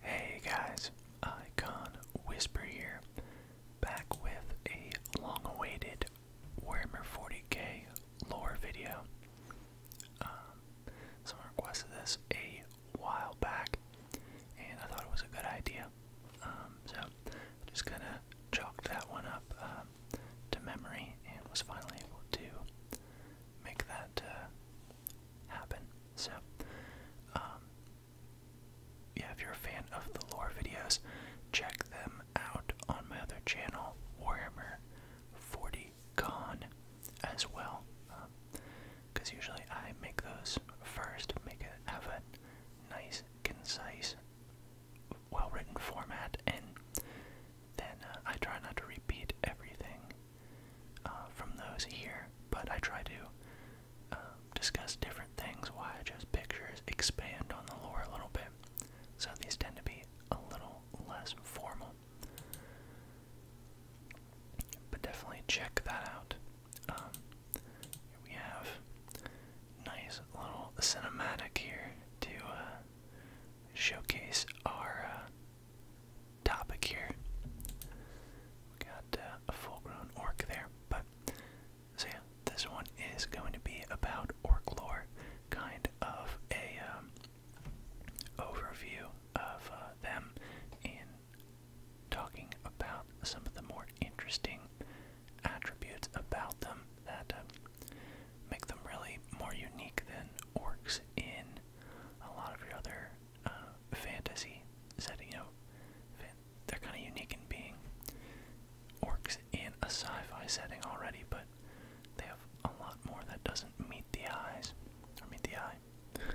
Hey guys, Icon Whisper here, back with a long awaited Warhammer 40k lore video. Um, someone requested this a while back, and I thought it was a good idea. Um, so, I'm just gonna chalk that one up um, to memory, and was finally able to make that uh, happen. So, um, yeah, if you're a fan of the lore videos, check them out on my other channel, Warhammer 40Con, as well. Because um, usually I make those first, make it have a nice, concise, well written format, and then uh, I try not to repeat everything uh, from those here, but I try to um, discuss different things, why I chose pictures, expand on the lore a little bit. So these tend to be a little less formal. But definitely check that out. Um, here we have nice little cinematic here to uh, showcase our uh, topic here. We got uh, a full-grown orc there, but so yeah, this one is going to be about orc lore, kind of a um, overview of uh, them, in talking about some of the more interesting attributes about them that um, make them really more unique than orcs in a lot of your other uh, fantasy setting. You know, they're kind of unique in being orcs in a sci-fi setting already, but they have a lot more that doesn't meet the eyes or meet the eye.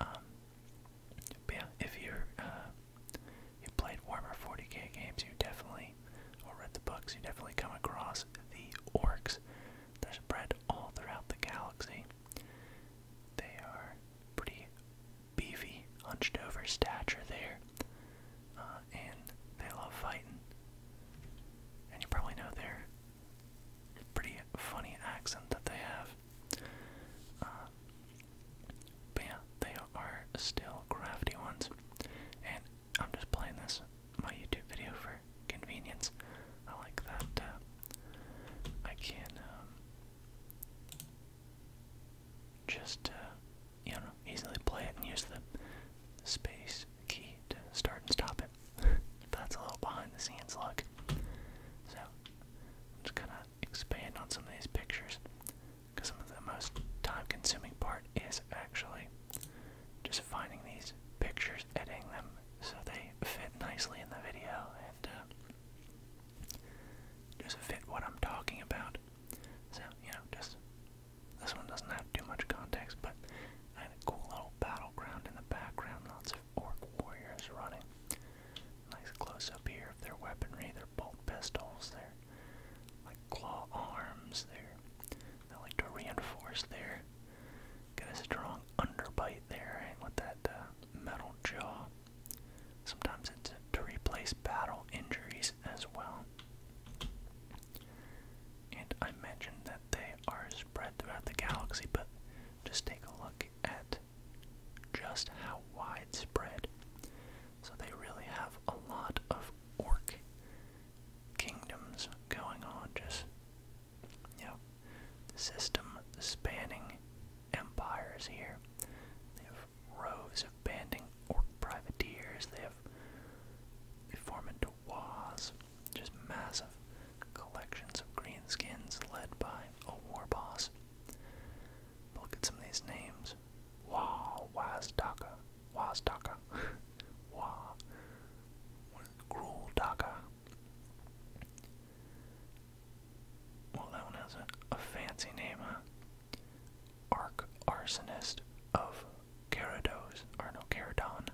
Um, but yeah, if you're uh, you played Warhammer 40k games, you definitely or read the books, you definitely come across the orcs. They're spread all throughout the galaxy, they are pretty beefy, hunched over stature there. Uh, and they love fighting. And you probably know their pretty funny accent that they have. Uh, but yeah, they are still crafty ones. And I'm just playing this my YouTube video for convenience. I like that uh, I can um, just uh, you know easily play it and use the space key to start and stop it. That's a little behind the scenes look. So I'm just gonna expand on some of these pictures because some of the most time-consuming part is actually just finding these pictures, editing them, so they fit nicely in the video and uh, just fit what I'm talking about. So, you know, just this one doesn't have too much context, but I had a cool little battleground in the background, lots of orc warriors running. Nice close up here of their weaponry, their bolt pistols, their like claw arms, their they like to reinforce their Got a strong underbite there and eh, with that uh, metal jaw. Sometimes it's to replace battle injuries as well. And I mentioned that they are spread throughout the galaxy, but just take a look at just how widespread. So they really have a lot of orc kingdoms going on just you know, system spanning empires here. They have rows of banding orc privateers. They have they form into wars, just massive collections of greenskins led by a war boss. look at some of these names. Wah, Wazdaka, Wazdaka, Wah, Gruldaka, well, that one has a, fancy name, huh? Arc Arsonist of Carados, or Caradon.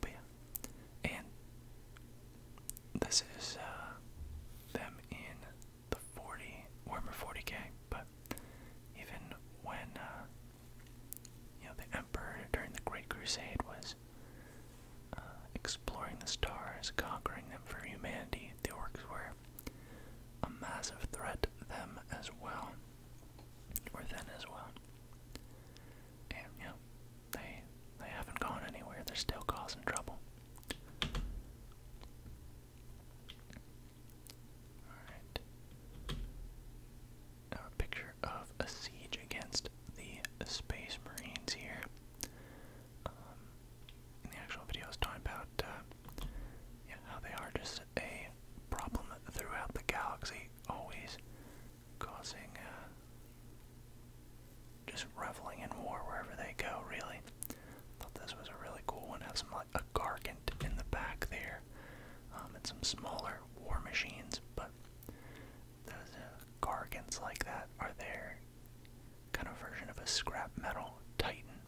But yeah, and this is uh, them in the 40, Warhammer 40k, but even when, uh, you know, the Emperor during the Great Crusade was uh, exploring the stars, conquering them for humanity, the orcs were a massive threat to them as well, or then as well. And you they they haven't gone anywhere. They're still causing trouble. All right. Now a picture of a siege against the Space Marines here. Um, in the actual video, I talking about uh, how they are just a problem throughout the galaxy, always causing, uh, just reveling in war wherever they go, really. Thought this was a really cool one. Have some like a Gargant in the back there, um, and some smaller war machines, but those uh, gargants like that are their kind of version of a scrap metal titan,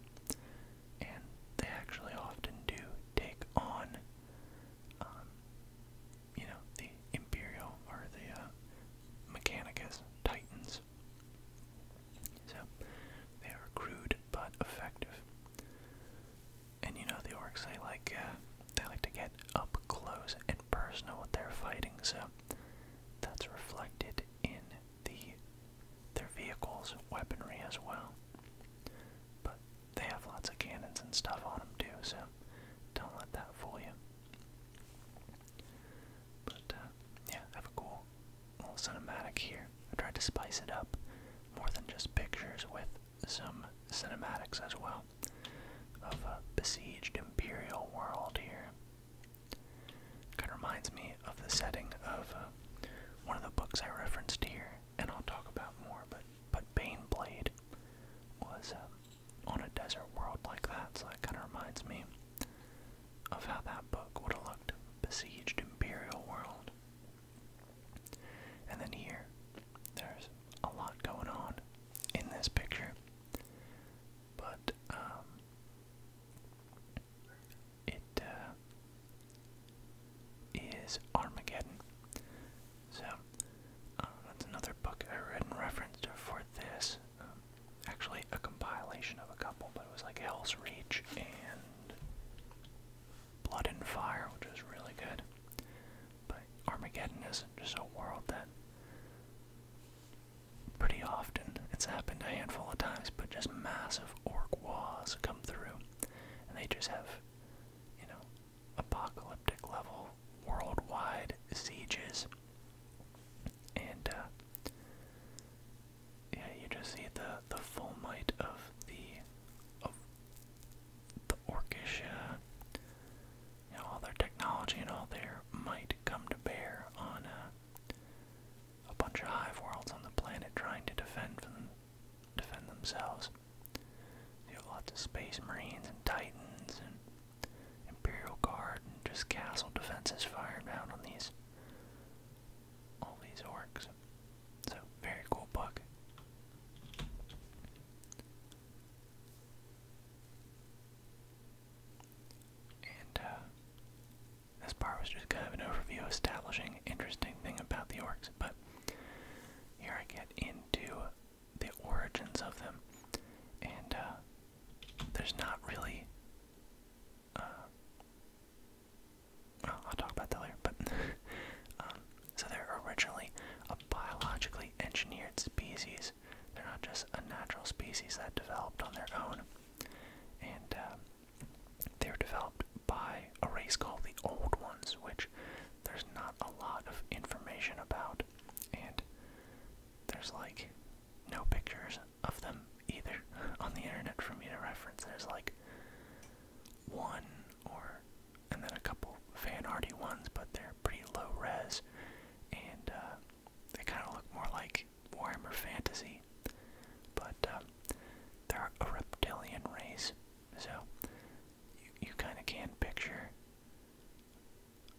and they actually often do take on, um, you know, the imperial or the uh, mechanicus titans. So they are crude but effective. And you know the orcs, they like uh, they like to get up close and personal with their fighting. So that's reflected in the their vehicles' weaponry as well. But they have lots of cannons and stuff on them too, so don't let that fool you. But uh, yeah, have a cool little cinematic here. I tried to spice it up more than just pictures with some cinematics as well of a besieged imperial world here. Kind of reminds me of the setting of uh, one of the books I referenced here, and I'll talk about more. But but Baneblade was uh, on a desert world like that, so that kind of reminds me of how that book would have looked, besieged imperial world. And then here, there's a lot going on in this picture but um, uh, Armageddon. So uh, that's another book I read and referenced for this. Um, actually, a compilation of a couple, but it was like Hell's Reach and Blood and Fire, which was really good. But Armageddon is just a world that pretty often. It's happened a handful of times, but just massive orc wars come through, and they just have, you know, apocalyptic level worldwide sieges. And uh, yeah, you just see the the full might of the of the orcish uh, all their technology and all their might come to bear on uh, a bunch of hive worlds on the planet trying to defend defend themselves. You have lots of space marines and titans and imperial guard and just castle defenses firing down on these all these orcs. So very cool book. And uh, this part was just kind of an overview establishing interesting thing about the orcs, but here I get into the origins of them, and uh, there's not really. Uh, I'll talk about that later, but. Um, so they're originally a biologically engineered species they're not just a natural species that developed on their own. And um, they were developed by a race called the Old Ones, which there's not a lot of information about. And there's like no pictures of them either on the internet for me to reference. There's like one or and then a couple fan arty ones, but they're pretty low res and uh, they kind of look more like Warhammer Fantasy. But uh, they're a reptilian race, so you, you kind of can picture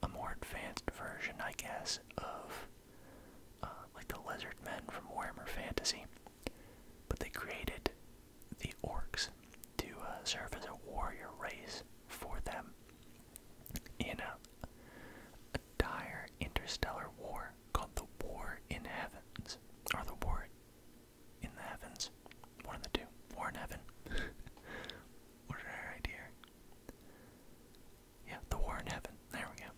a more advanced version, I guess, of uh, like the lizard men from Warhammer Fantasy. But they created the orcs to serve as a warrior race for them in uh, a dire interstellar war called the War in Heavens, or the War in the Heavens, one of the two, War in Heaven. what did I write here? Yeah, the War in Heaven. There we go.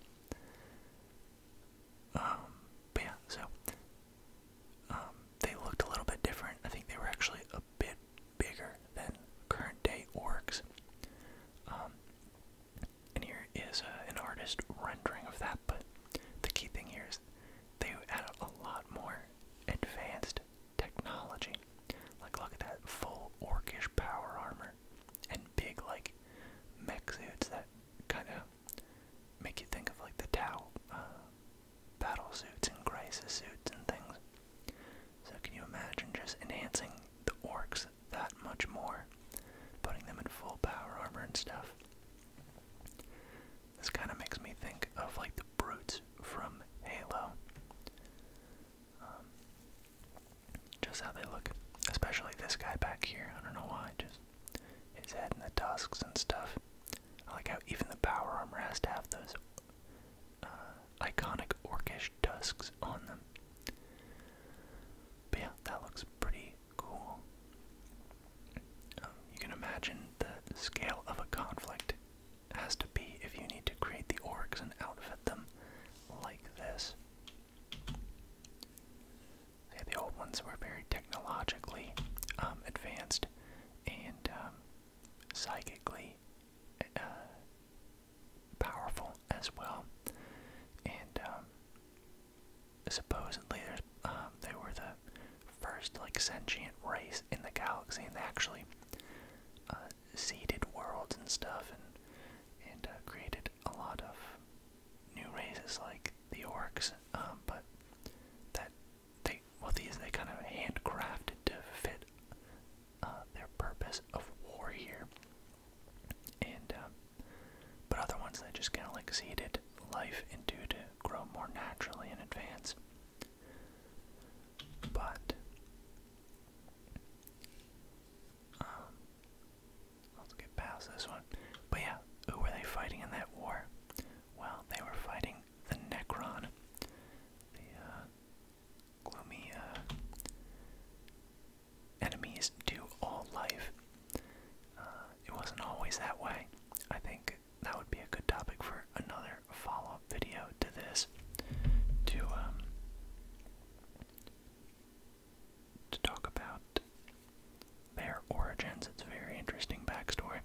Um, but yeah, so um, they looked a little bit different. I think they were actually a bit bigger than current day orcs. Um, and here is uh, an artist rendering of that, but the key thing here is they add a lot more advanced technology. Like, look at that full orcish power armor and big, like, mech suits that kind of make you think of, like, the Tau uh, battle suits and crisis suits and things. So can you imagine just enhancing the orcs that much more? Putting them in full power armor and stuff. This kind of makes me think of like the brutes from Halo. Um, just how they look. Especially this guy back here. I don't know why. Just his head and the tusks and stuff. I like how even the power armor has to have those iconic orcish tusks on them. yeah, that looks pretty cool. Um, you can imagine the scale of a conflict has to be if you need to create the orcs and outfit them like this. the old ones were very technologically um, advanced and um, psychically uh, powerful as well. And um, supposedly, um, they were the first like sentient race in the galaxy, and they actually uh, seeded worlds and stuff, and and uh, created a lot of new races like the orcs. Um, but that they well, these they kind of handcrafted to fit uh, their purpose of war here, and um, but other ones that just kind of exceeded life and due to grow more naturally in advance. But um, let's get past this one. But yeah, who were they fighting in that war? Well, they were fighting the Necron, uh, gloomy uh, enemies to all life. Uh, it wasn't always that way. I think that would be a good topic for another follow-up video to this, to um, to talk about their origins. It's a very interesting backstory.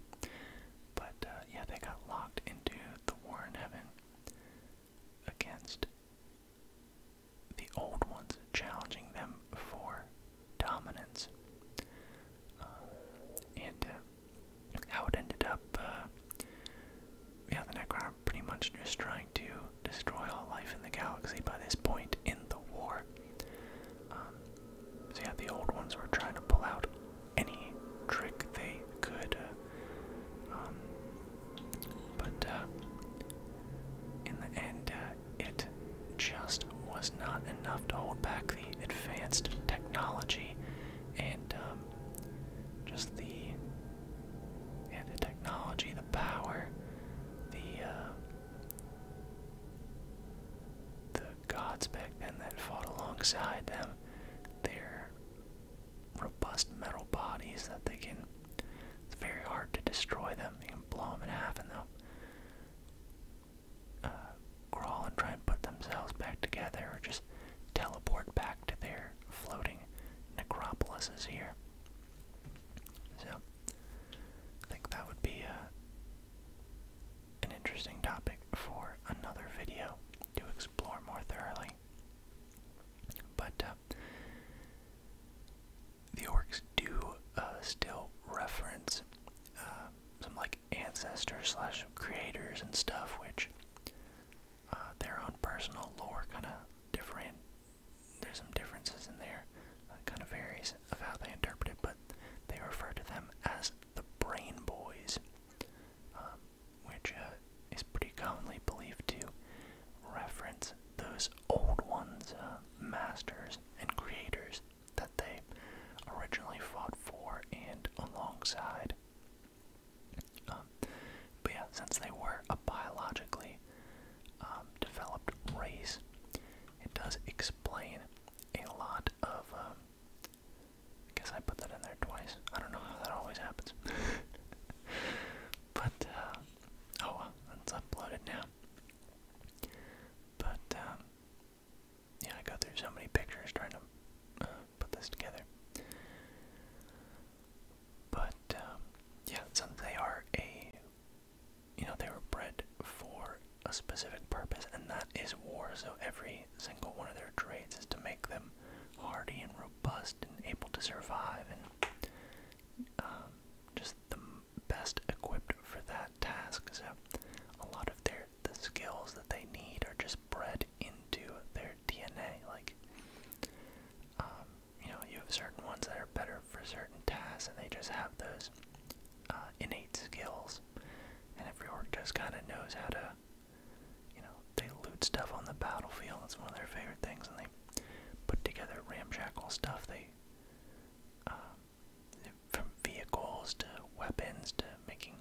But uh, yeah, they got locked into the war in heaven against the old ones, challenging them for dominance. Uh, and uh, how it ended up, uh, yeah, the Necron pretty much just trying to destroy all life in the galaxy by this point in the war. Um, so yeah, the old ones were trying to pull out any trick they could. Um, but uh, in the end, uh, it just was not enough to hold back the advanced technology and um, just the yeah, the technology, the power, the uh, the gods back then that fought alongside them, There robust metal bodies that they can. It's very hard to destroy them. You can blow them in half and they'll uh, crawl and try and put themselves back together or just teleport back to their floating necropolises here. So, I think that would be uh, an interesting topic for another video to explore more thoroughly. But uh, the orcs do uh, still reference uh, some like ancestors slash creators and stuff, which their own personal lore kind of different. There's some differences in there. kind of varies of how they interpret it, but they refer to them as the Brain Boys, um, which is pretty commonly believed to reference those old ones, uh, masters and creators that they originally fought for and alongside. Um, but yeah, since they were a biologically um, developed race, it does explain a lot of. Um, guess I put that in there twice. I don't know how that always happens. but uh, Oh well, uploaded now. But, um, yeah, I go through so many pictures trying to uh, put this together. But, um, yeah, since they are a, you know, they were bred for a specific purpose, and that is war, so every single one of their traits is to make them hardy and robust and able to survive um, just the best equipped for that task. So a lot of their the skills that they need are just bred into their DNA. Like, um, you know, you have certain ones that are better for certain tasks, and they just have those uh, innate skills. And every orc just kind of knows how to, you know, they loot stuff on the battlefield. That's one of their favorite things, and they put together ramshackle stuff. They, um, from vehicles to weapons to making,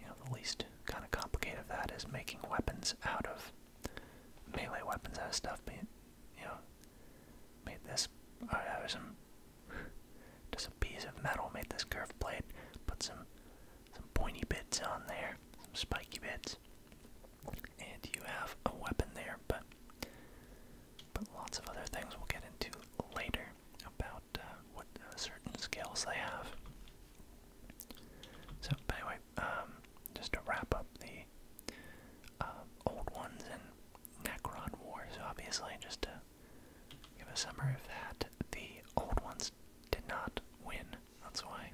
you know, the least kind of complicated of that is making weapons out of melee weapons out of stuff. Being, you know, made this uh, out of some just a piece of metal. Made this curved blade. Put some some pointy bits on there. Some spiky bits and you have a weapon there, but but lots of other things we'll get into later about uh, what uh, certain skills they have. So, but anyway, um, just to wrap up the uh, old ones and Necron So obviously, just to give a summary of that, the old ones did not win. That's why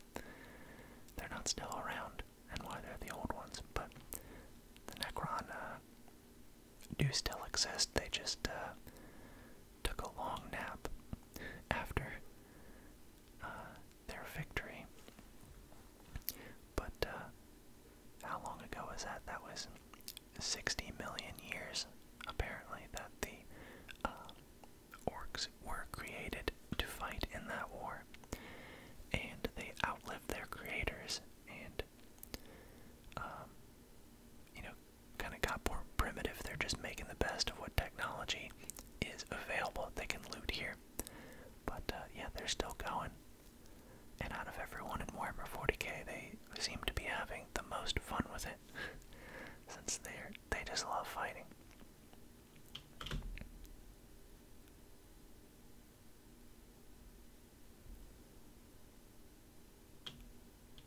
they're not still around and why they're the old ones, but the Necron uh, do still exist. They just uh, took a long nap after uh, their victory. But how long ago was that? That was 60 million years, apparently, that the orcs were created to fight in that war and they outlive their creators, and um, you know, kind of got more primitive. They're just making the best of what technology is available. They can loot here, but uh, yeah, they're still going. And out of everyone in Warhammer 40k, they seem to be having the most fun with it, since they they just love fighting.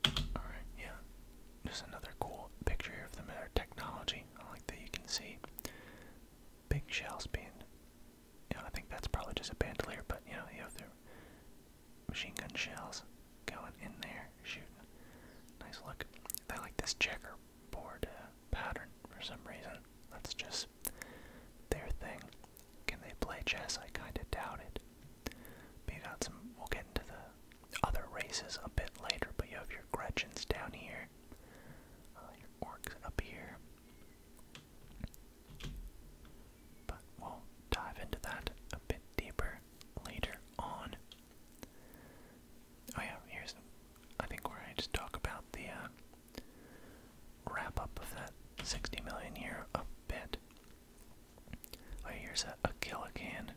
All right, yeah. Just another cool picture of the matter technology. I like that you can see big shells being. You know, I think that's probably just a bandolier, but you know, you have the machine gun shells going in there, shooting. Nice look. I like this checkerboard uh, pattern for some reason. That's just their thing. Can they play chess? I kind of doubt it. But you got some, we'll get into the other races a bit later, but you have your Gretchens down here, uh, your Orcs up here. But we'll dive into that a bit deeper later on. Oh yeah, here's I think where I just talk about the uh, wrap up of that 60 million year a bit. Oh, here's a, a Killican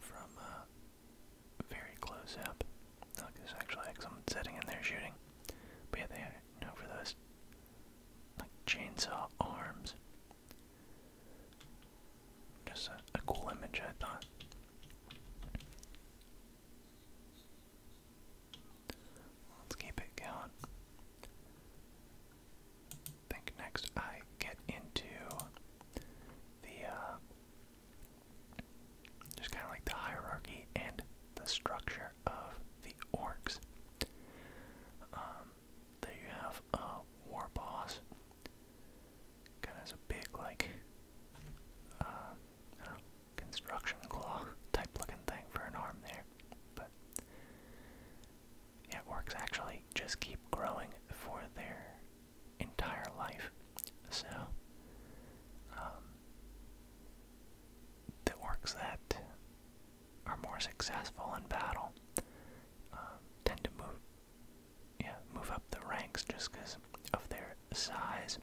from uh, very close up. Look, oh, there's actually like someone sitting in there shooting. But yeah, they are for those like chainsaw arms. Just a cool image, I thought. Let's keep it going. I think next I get into the uh, just kind of like the hierarchy and the structure of the orcs. Um, there you have a war boss kind of has a big like uh, construction claw type looking thing for an arm there, but yeah, orcs actually just keep growing for their entire life. So um, the orcs that are more successful in battle um, tend to move, yeah, move up the ranks just because of their size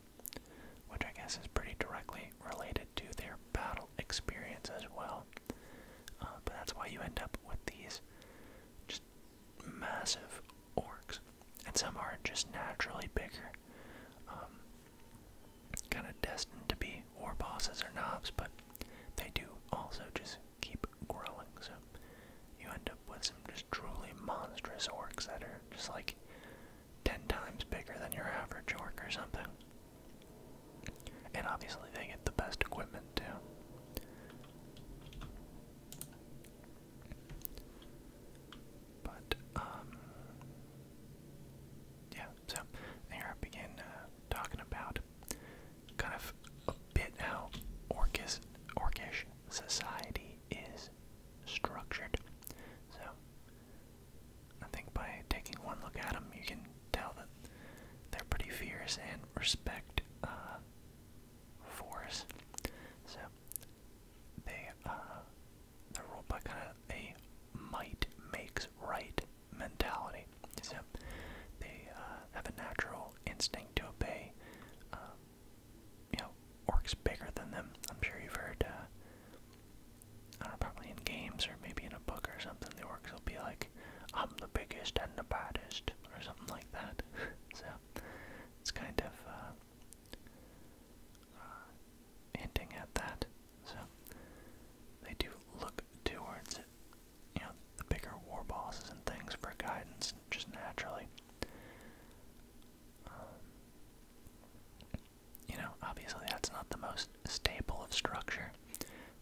which I guess is pretty directly related to their battle experience as well. Uh, but that's why you end up with these just massive orcs, and some are just naturally bigger, um, kind of destined to be war bosses or knobs, but they do also just keep growing. So you end up with some just truly monstrous orcs that are just like 10 times bigger than your average orc or something. And obviously, they get the best equipment too. But, um, yeah, so there I begin uh, talking about kind of a bit how orcish, orcish society is structured. So I think by taking one look at them, you can tell that they're pretty fierce and respect uh, force. So they uh, they're ruled by kind of a might makes right mentality. So they uh, have a natural instinct to obey. Um, you know, orcs bigger than them. I'm sure you've heard, uh, I don't know, probably in games or maybe in a book or something, the orcs will be like, I'm the biggest and the baddest, or something like that. so, it's kind of, uh, uh, hinting at that. So, they do look towards, you know, the bigger war bosses and things for guidance, just naturally. Um, you know, obviously that's not the most stable of structure.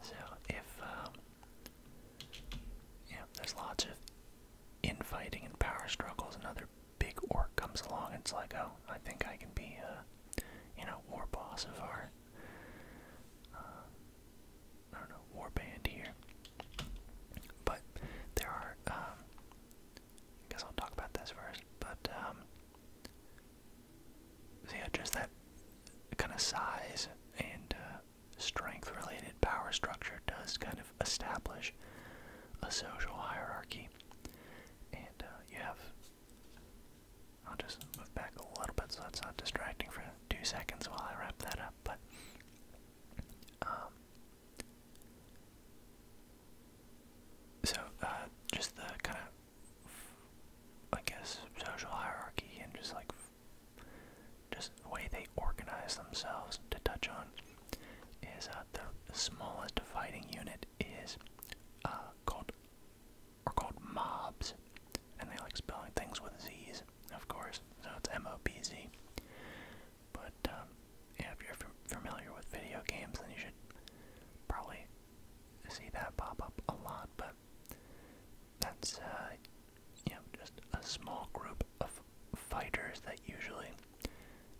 So if, um, there's lots of infighting and power struggles, another big orc comes along it's like, oh, I think I can be, a uh, you know, war boss of our, uh, I don't know, war band here. But there are, um, I guess I'll talk about this first, but um, yeah, just that kind of size and uh, strength-related power structure does kind of establish a social hierarchy, and uh, you have. I'll just move back a little bit so it's not distracting for two seconds while I wrap that up, but. Um, so, uh, just the kind of, I guess, social hierarchy and just like, just the way they organize themselves to touch on is uh, the smallest dividing unit is uh, called, or called mobs, and they like spelling things with Z's, of course, so it's M-O-B-Z. But um, yeah, if you're familiar with video games, then you should probably see that pop up a lot. But that's uh, you know just a small group of fighters that usually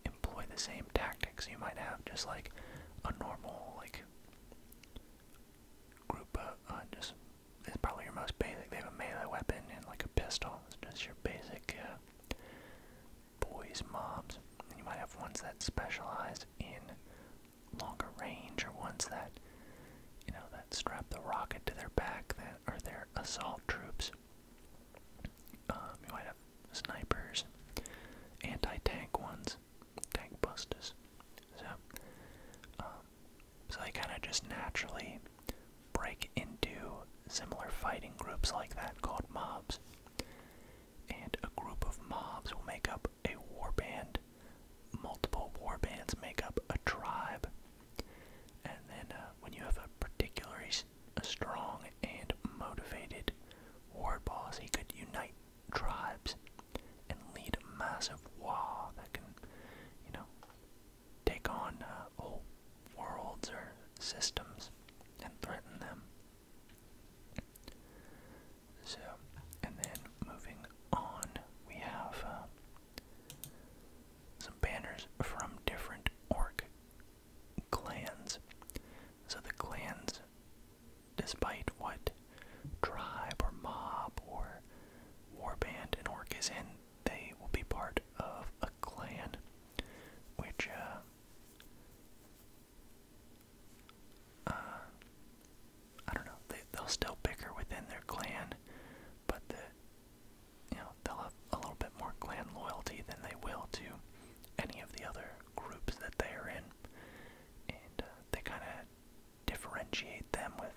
employ the same tactics you might have, just like a normal like group. Uh, uh, just it's probably your most basic. They have a melee weapon and like a pistol. It's just your basic. Uh, boys mobs, and you might have ones that specialize in longer range, or ones that you know that strap the rocket to their back, that are their assault troops. Um, you might have snipers, anti-tank ones, tank busters. So, um, so they kind of just naturally break into similar fighting groups like that called mobs. And a group of mobs will make up a war band. Multiple war bands make up a tribe. And then uh, when you have a particularly strong and motivated war boss, he could unite tribes and lead a massive war that can, you know, take on uh, whole worlds or systems and threaten them. So, and then moving on, we have uh, some banners from different orc clans. So the clans, despite what tribe or mob or warband an orc is in, they will be part of a clan, which uh, uh, I don't know. They, they'll still bicker within their clan, but the you know they'll have a little bit more clan loyalty than they will to any of the other groups that they are in, and uh, they kind of differentiate them with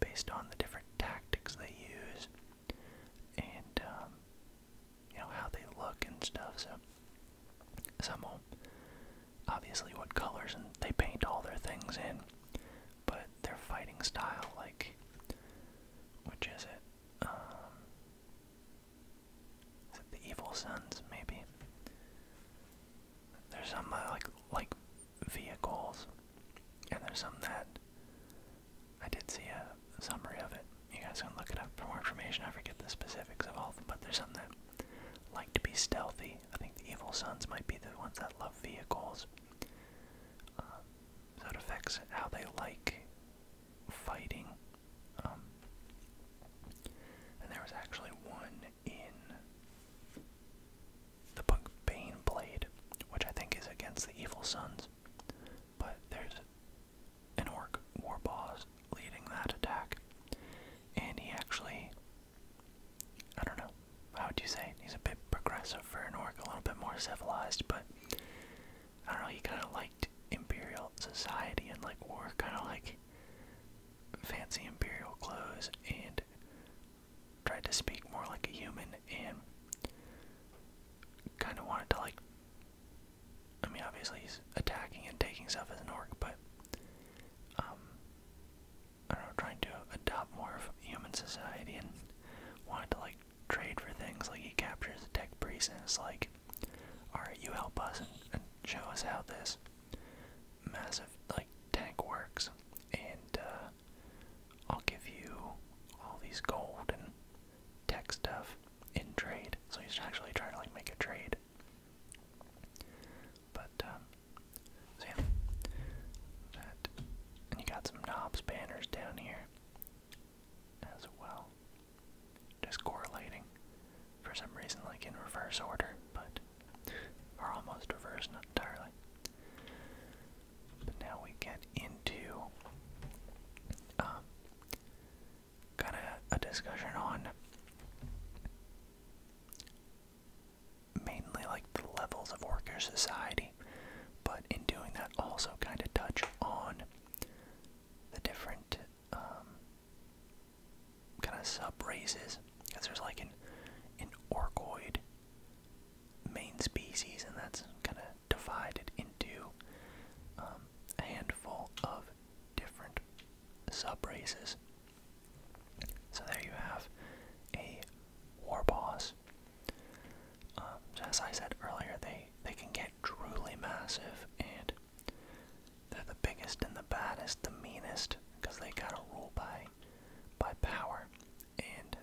based on the different tactics they use, and um, you know, how they look and stuff. So some will obviously what colors and they paint all their things in, but their fighting style, like which is it? Um, is it the Evil Sons? Maybe there's some uh, like like vehicles, and there's some that I did see a summary of it. You guys can look it up for more information. I forget the specifics of all of them, but there's some that like to be stealthy. I think the evil sons might be the ones that love vehicles. That um, affects how they like fighting. Um, and there was actually one in the book Bane which I think is against the evil sons. But there's an orc warboss leading that attack. And he actually, I don't know, how would you say it? He's a bit progressive for an orc, a little bit more civilized, but I don't know, he kind of liked imperial society and like wore kind of like fancy imperial clothes and tried to speak more like a human and kind of wanted to like I mean, obviously he's attacking and taking stuff as an orc, but um, I don't know, trying to adopt more of human society and wanted to like trade for things. Like he captures the tech priest and it's like, all right, you help us and, and show us how this massive like tank works, and uh, I'll give you all these gold and tech stuff in trade. So he's actually trying to like make a trade. But um, yeah, and you got some knobs banners down here as well. Just correlating for some reason, like in reverse order, but or almost reverse, not entirely. But now we get into um, got a, a discussion on mainly like the levels of worker society, but in doing that, also kind of touch on the different um, kind of sub races. Because there's like an, an orcoid main species, and that's kind of divided into um, a handful of different sub races. So there you have a war boss. Um, as I said earlier, they they can get truly massive, and they're the biggest and the baddest, the meanest, because they gotta rule by by power, and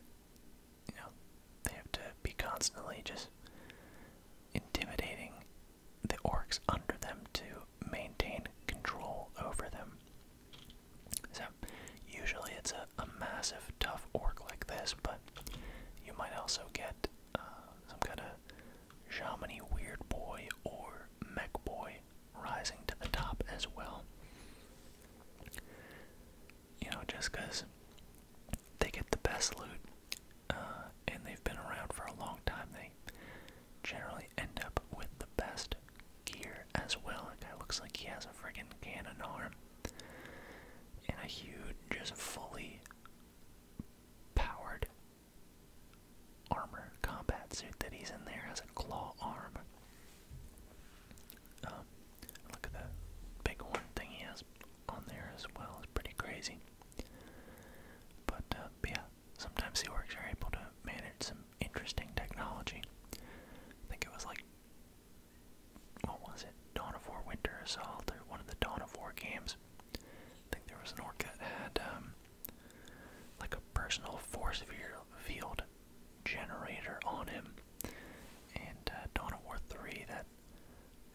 you know they have to be constantly just intimidating the orcs under them to maintain control over them. So, usually it's a, massive, tough orc like this, but you might also get uh, some kind of Chamonix Weird Boy or Mech Boy rising to the top as well. You know, just because they get the best loot uh, and they've been around for a long time. They generally end up with the best gear as well. That guy looks like he has a friggin' cannon arm and a huge, just fully powered armor combat suit that he's in there has a claw arm. Um, look at that big one thing he has on there as well. It's pretty crazy. Uh, but, yeah, sometimes the orcs are able to manage some interesting technology. I think it was like, what was it? Dawn of War Winter Assault, one of the Dawn of War games. I think there was an orc that had um, like a personal force field generator on him. And uh, Dawn of War 3, that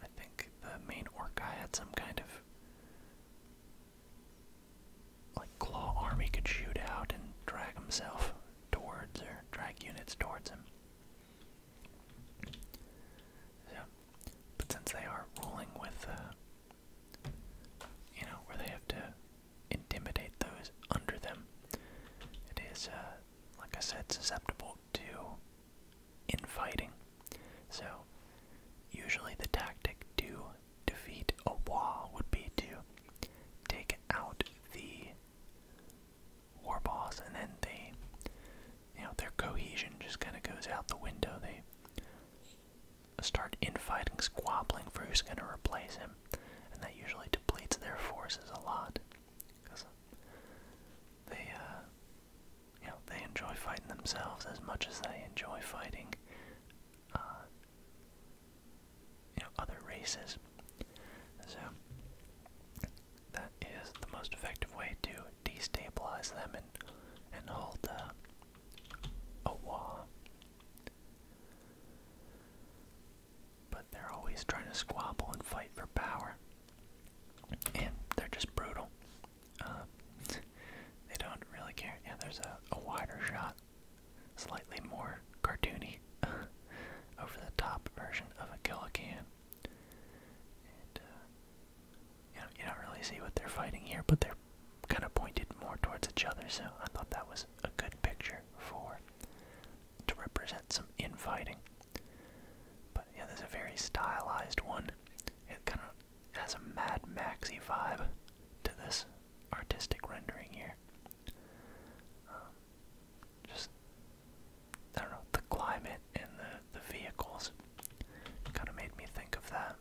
I think the main orc guy had some kind of like claw army could shoot out and drag himself towards or drag units towards him. Yeah. But since they are ruling with uh, you know, where they have to intimidate those under them, it is uh, like I said, susceptible to infighting. So, usually the tactic to defeat a wall would be to take out the war boss, and then they, you know, their cohesion just kind of goes out the window. They start infighting, squabbling for who's going to replace him, and that usually depletes their forces a lot because they uh, you know, they enjoy fighting themselves as much as they enjoy fighting, uh, you know, other races. So, that is the most effective way to destabilize them and, and hold uh, a wall. But they're always trying to squabble and fight for power. And they're just brutal. Um, they don't really care. Yeah, there's a, wider shot, slightly more cartoony, over the top version of a Killican. And uh, you, you don't really see what they're fighting here, but they're kind of pointed more towards each other, so I thought that was a good picture for to represent some infighting. But yeah, there's a very stylized one. It kind of it has a Mad Maxi vibe to this artistic rendering here. Um, just, I don't know, the climate and the, the vehicles kind of made me think of that.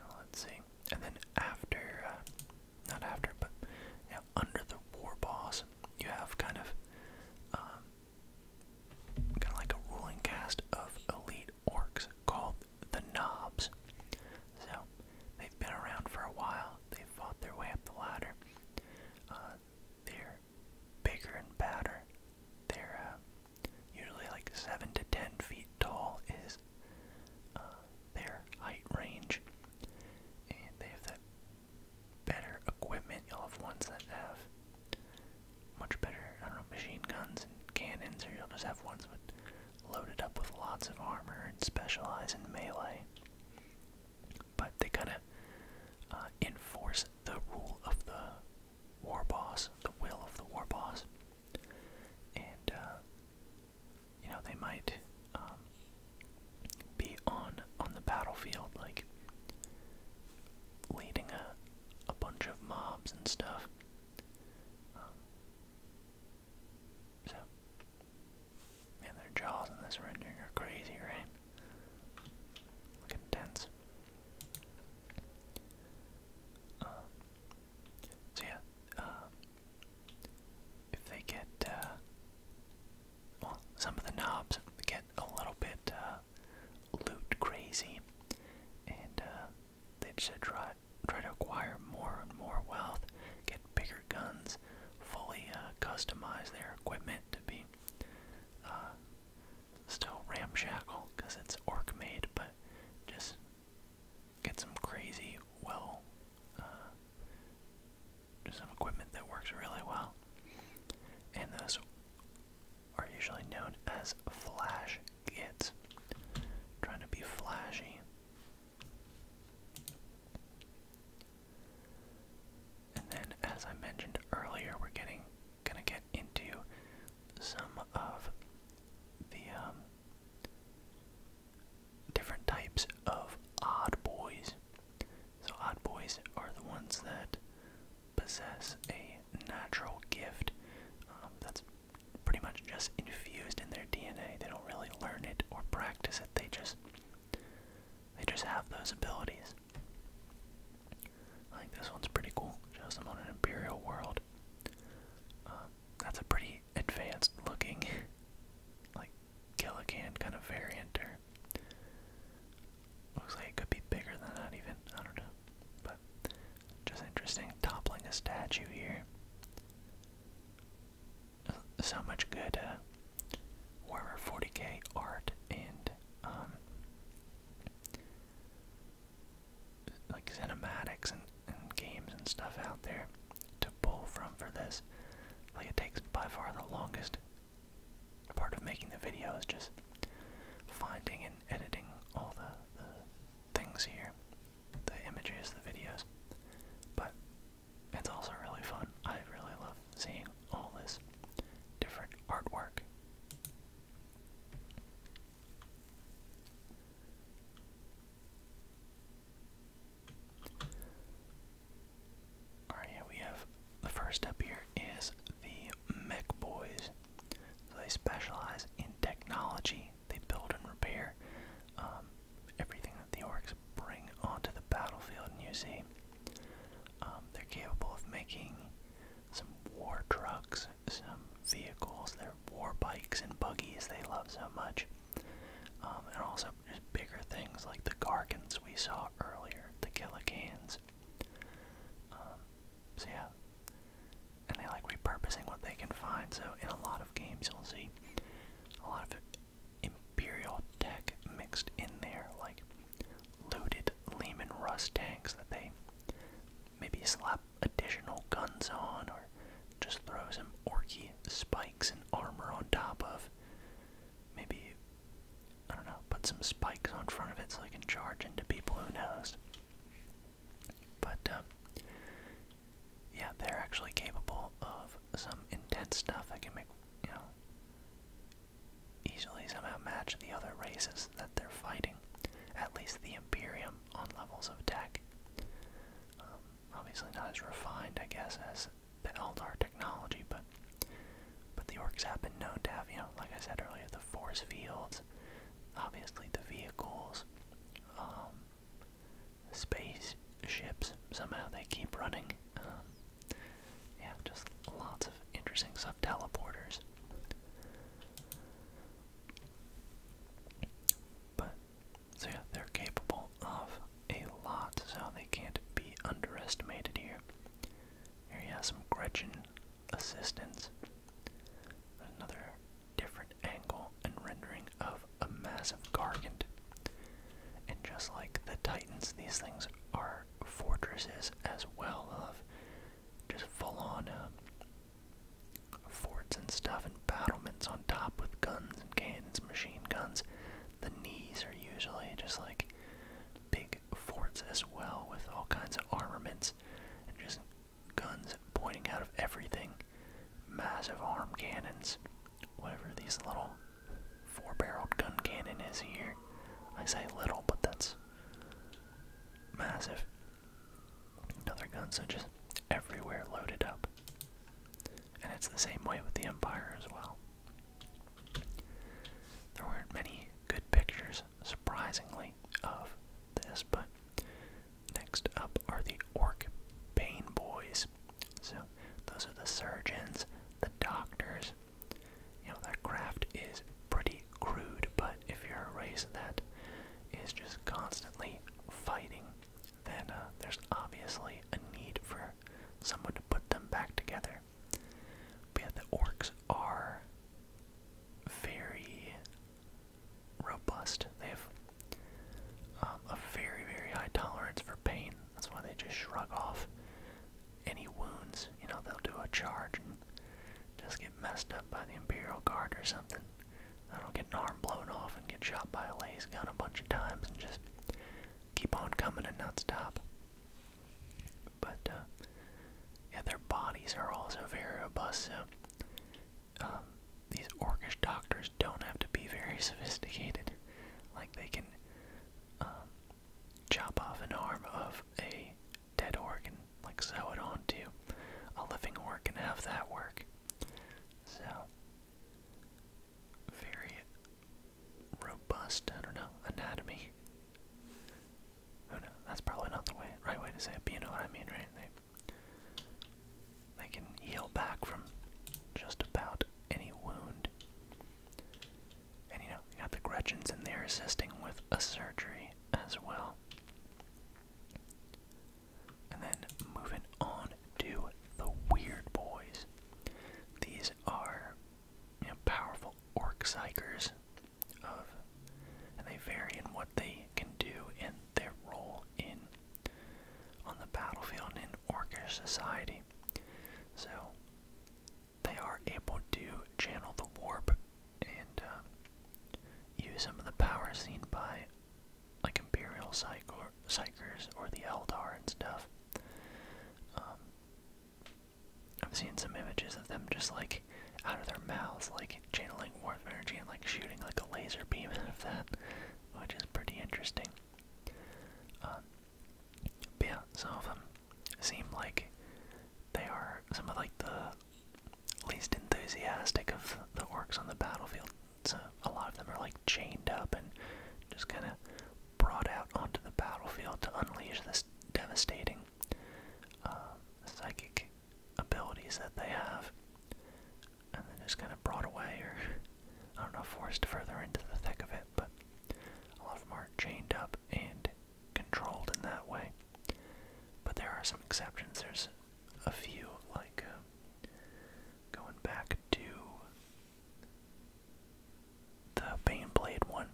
Uh, let's see. And then after, uh, not after, but under the war boss, you have kind of, um, kind of like a ruling cast of elite orcs called the Knobs. So they've been around for a while. They've fought their way up the ladder. Uh, they're bigger and badder. They're uh, usually like seven to ten feet tall is uh, their height range, and they have that better equipment. You'll have ones that have much better, I don't know, machine guns and cannons, or you'll just have ones with loaded up with lots of armor and specialize in melee. But they kind of uh, enforce the rule of the war boss, the will of the war boss, and uh, you know they might um, be on on the battlefield, like leading a a bunch of mobs and stuff. Um, so, man, their jaws in this rendering are crazy, right? Look intense. Um, so yeah, uh, if they get uh, well, some of the knobs get a little bit uh, loot crazy, and uh, they should try try to acquire more and more wealth, get bigger guns, fully uh, customize their equipment to be uh, still ramshackle because it's orc made, but just get some crazy well. Uh, just some equipment that works really well. And those are usually known as flash kits. Trying to be flashy. And then, as I mentioned earlier, we're getting gonna get into some of the um, different types of odd boys. So, odd boys are the ones that possess a natural gift um, that's pretty much just infused in their DNA. They don't really learn it or practice it. They just they just have those abilities. I think this one's pretty cool. Shows them on an imperial world. Um, that's a pretty advanced looking, like Gilligan kind of variant, there. Looks like it could be bigger than that even. I don't know. But just interesting. Toppling a statue here. So much good uh, Warhammer 40k art and um, like cinematics and, and games and stuff out there to pull from for this. Like it takes by far the longest part of making the video is just finding and editing all the, the things here, the images, the videos. But it's also really fun. I really love seeing all this different artwork. Alright, yeah, we have the first up here is the Mech Boys. So they specialize in technology, they build and repair um, everything that the orcs bring onto the battlefield, and you see um, they're capable of making some war trucks, some vehicles, their war bikes and buggies they love so much, um, and also there's bigger things like the Gargans we saw earlier, the Killicanes. Um, so yeah, and they like repurposing what they can find. So in a lot of games, you'll see a lot of Imperial tech mixed in there, like looted Lehman Rust tanks that they maybe slap additional guns on, or just throw some orky spikes and armor on top of maybe, I don't know, put some spikes on front of it so they can charge into people, who knows. But, um, yeah, they're actually capable of some intense stuff that can make, you know, easily somehow match the other races that they're fighting. At least the Imperium on levels of tech. Um, obviously not as refined, I guess, as that's the Eldar technology, but but the orcs have been known to have, you know, like I said earlier, the force fields, obviously the vehicles, um, ships. Somehow they keep running. Um, yeah, just lots of interesting stuff. Teleporters. But so yeah, they're capable of a lot, so they can't be underestimated here. Here you have some Gretchen assistance. Another different angle and rendering of a massive gargant. And just like the Titans, these things are fortresses as well of just full-on um, forts and stuff and battlements on top with guns and cannons, machine guns. The knees are usually just like big forts as well with all kinds of armaments and just guns pointing out of everything. Massive arm cannons. Whatever these little four barreled gun cannon is here. I say little, but that's massive. Another guns are just everywhere loaded up. And it's the same way with the Empire as well. There weren't many good pictures, surprisingly, of this, but next up are the Orc Pain Boys. So those are the surgeons, the doctors. You know, that craft is pretty crude, but if you're a race that is just constantly fighting, then uh, there's obviously a need for someone to put them back together there. But yeah, the orcs are very robust. They have um, a very, very high tolerance for pain. That's why they just shrug off any wounds. You know, they'll do a charge and just get messed up by the Imperial Guard or something. They'll get an arm blown off and get shot by a lace gun a bunch of times and just keep on coming and not stop. But uh, yeah, their bodies are also very robust. So um, these orcish doctors don't have to be very sophisticated. Like they can um, chop off an arm of a dead orc and like sew it onto a living orc and have that work. So very robust, I don't know, anatomy. Oh no, that's probably not the right way to say it, but you know what I mean, right? They, can heal back from just about any wound. And you know, got the Gretchens in there assisting with a surgery as well. And then moving on to the Weird Boys. These are you know, powerful orc psychers of and they vary in what they can do and their role in on the battlefield and in orcish society. So they are able to channel the warp and uh, use some of the power seen by like Imperial psychers or the Eldar and stuff. Um, I've seen some images of them just like out of their mouths, like channeling warmth energy and like shooting like a laser beam out of that, which is pretty interesting. Um, yeah, some of them seem like they are some of like the least enthusiastic of the orcs on the battlefield. So a lot of them are like chained up and just kind of brought out onto the battlefield to unleash this just devastating uh, psychic abilities that they have, and then just kind of brought away, or I don't know, forced further into the thick of it. But a lot of them are chained up and controlled in that way. But there are some exceptions. There's a few, like uh, going back to the Baneblade one,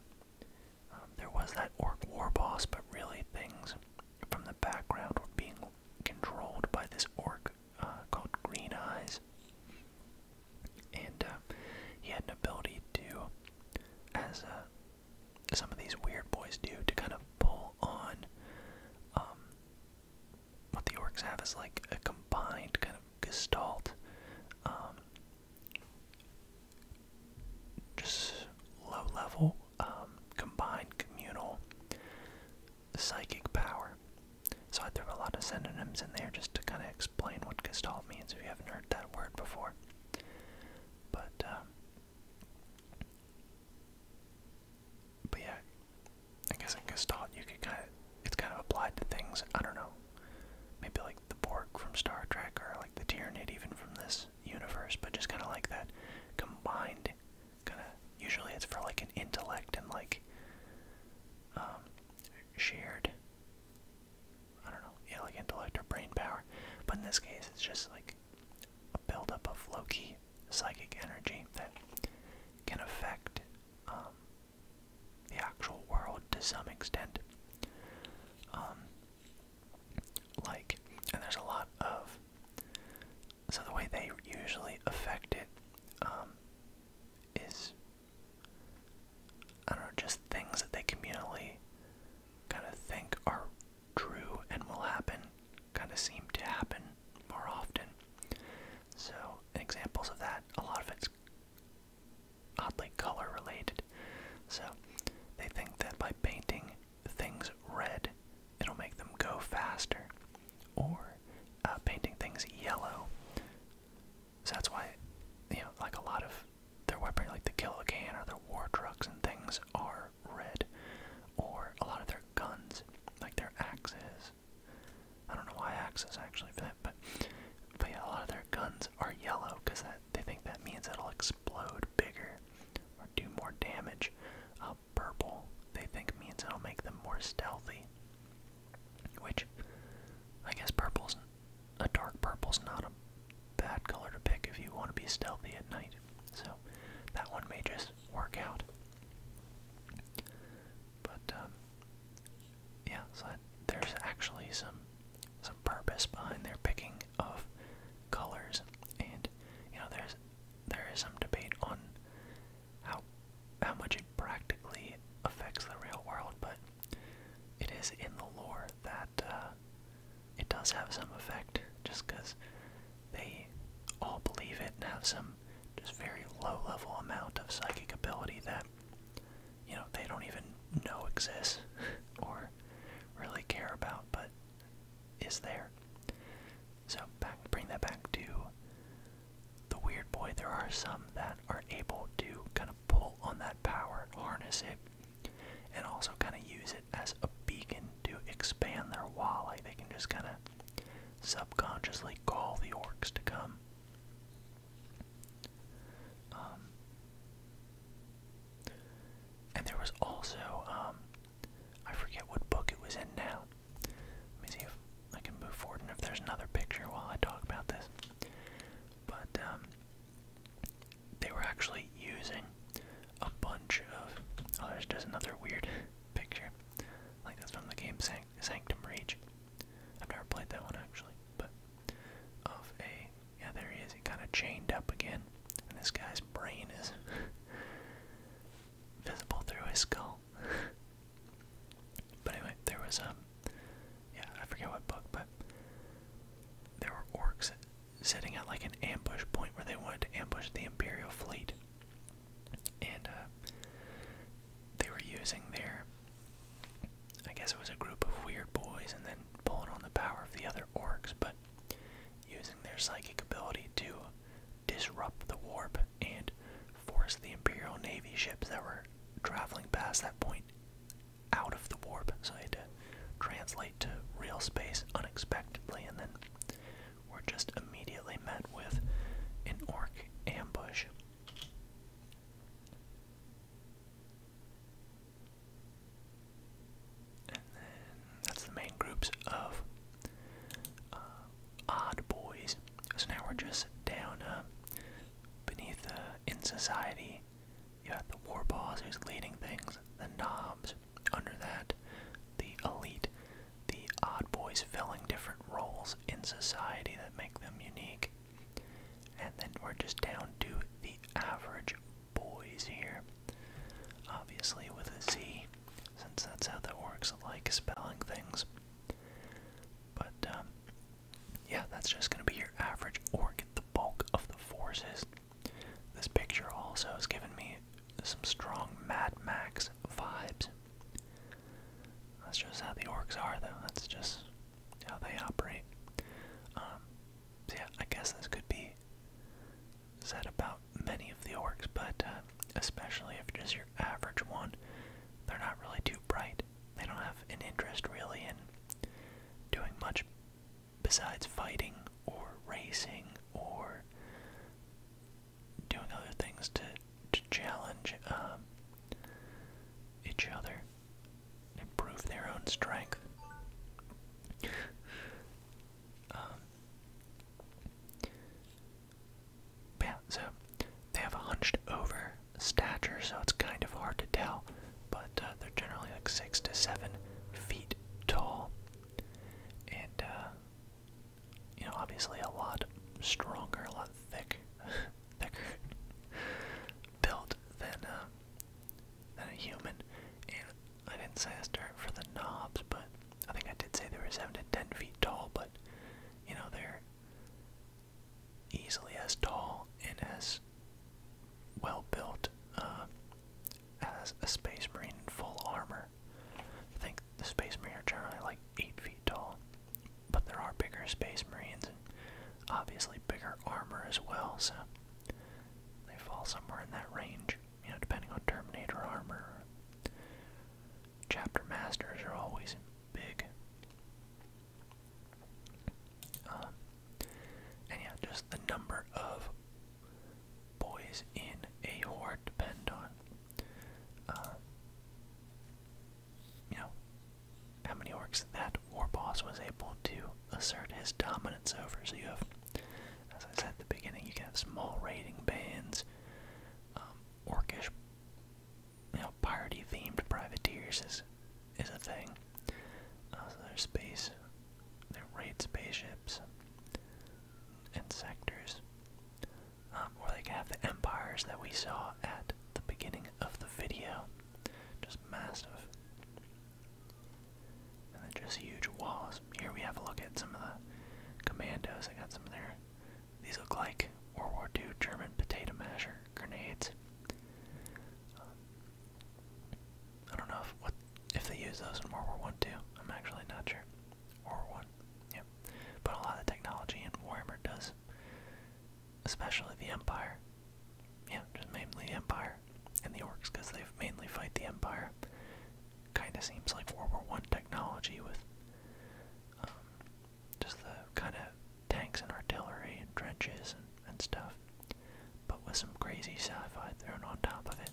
um, there was that orc war boss, but really things from the background were being controlled by this orc uh, called Green Eyes. And uh, he had an ability to, as uh, some of these weird boys do, to kind of pull on um, what the orcs have as like a combined kind of gestalt um, just low level um, combined communal psychic power. So I threw a lot of synonyms in there just to kind of explain what Gestalt means if you haven't heard that word before. but um, yeah, I guess in Gestalt you could kind of, it's kind of applied to things, I don't know, Maybe like the Borg from Star Trek or like the Tyranid even from this universe, but just kind of like that combined kind of. Usually it's for like an intellect and like um, shared. I don't know, yeah, intellect or brain power. But in this case, it's just like a buildup of low-key psychic energy that can affect um, the actual world to some extent. Um, like and there's a lot of so the way they usually affect it um, is I don't know just things that they communally kind of think are true and will happen kind of seem to happen more often so examples of that a lot of it's oddly color related. So they think that by painting things red, it'll make them go faster. Or uh, painting things yellow. So that's why, you know, like a lot of their weaponry, like the Killican or the war trucks and things, are red. Or a lot of their guns, like their axes. I don't know why axes actually but but yeah, a lot of their guns are yellow because that they think that means it'll explode bigger or do more damage. Uh, purple, they think means it'll make them more stealthy. Which, I guess purple's a dark purple's not a bad color to pick if you want to be stealthy at night. So that one may just work out. But um, yeah, so there's actually some some purpose behind their picking of colors, and you know there's there is some debate on how how much it practically affects the real world, but it is in the lore that uh, it does have some effect, just because they all believe it and have some just very low level amount of psychic ability that you know they don't even know exists or really care about, but is there. So back, bring that back to the weird boy. There are some that are able to kind of pull on that power, harness it, and also kind of use it as a beacon to expand their wall. they can just kind of subconsciously call the orcs to come. Um, and there was also, um, I forget what book it was in now. Let me see if I can move forward and if there's another picture while I talk about this. But, um, they were actually using a bunch of. Oh, there's just another weird picture. Like that's from the game Sanctum Rage. I've never played that one actually, but of a yeah, there he is. He kind of chained up again. And this guy's brain is visible through his skull. but anyway, there was, um, yeah, I forget what book, but there were orcs setting at like an ambush point where they wanted to ambush the Imperial fleet. And, uh, they were using their, I guess it was a group of weird boys and then pulling on the power of the other orcs, but using their psychic ability to disrupt the warp and force the Imperial Navy ships that were traveling past that point out of the warp. So they had to translate to real space unexpectedly, and then were just immediately met with an orc ambush. And then that's the main groups of uh, odd boys. So now we're just down uh, beneath the in society. You have the war boss who's leading things, the nobbs. Under that, the elite, the odd boys filling different roles in society that make them unique. And then we're just down to the average boys here. Obviously, with a Z, since that's how that works, I like spelling things. But, um, yeah, that's just going to be your average or get the bulk of the forces. This picture also has given me some strong Mad Max vibes. That's just how the orcs are, though. That's just how they operate. Um, yeah, I guess this could be said about many of the orcs, but uh, especially if just your average one, they're not really too bright. They don't have an interest really in doing much besides fighting or racing or doing other things to, to challenge um, each other, improve their own strength. Um, yeah, so they have a hunched over stature, so it's kind of hard to tell, but uh, they're generally like six to seven feet tall, and uh, you know, obviously a lot stronger, a lot thick, thicker built than uh, than a human. And I didn't say this dirt for the knobs, but I think I did say they were seven to ten feet tall, but you know, they're easily as tall and as well built uh, as a space marine in full armor. I think the space marine are generally like eight feet tall, but there are bigger space marines and obviously bigger armor as well, so they fall somewhere in that range you know, depending on Terminator armor. Chapter masters are always big. Um, and yeah, just the number of boys in a horde depend on, uh, you know, how many orcs that war boss was able to assert his dominance over. So as I said at the beginning, you can have small raiding bands, um, orcish, you know, party-themed privateers is is a thing. Uh, so there's space, they raid spaceships and sectors, um, or they can have the empires that we saw at the beginning of the video, just massive. And then just huge walls. Here we have a look at some of the commandos. I got some there. These look like World War II German potato masher grenades. Um, I don't know if if they use those in World War One too. I'm actually not sure. World War One, yep. But a lot of technology in Warhammer does, especially the Empire. Yeah, just mainly the Empire and the orcs because they mainly fight the Empire. Kind of seems like World War One technology with um, just the kind of tanks and artillery and trenches and, and stuff, but with some crazy sci-fi thrown on top of it.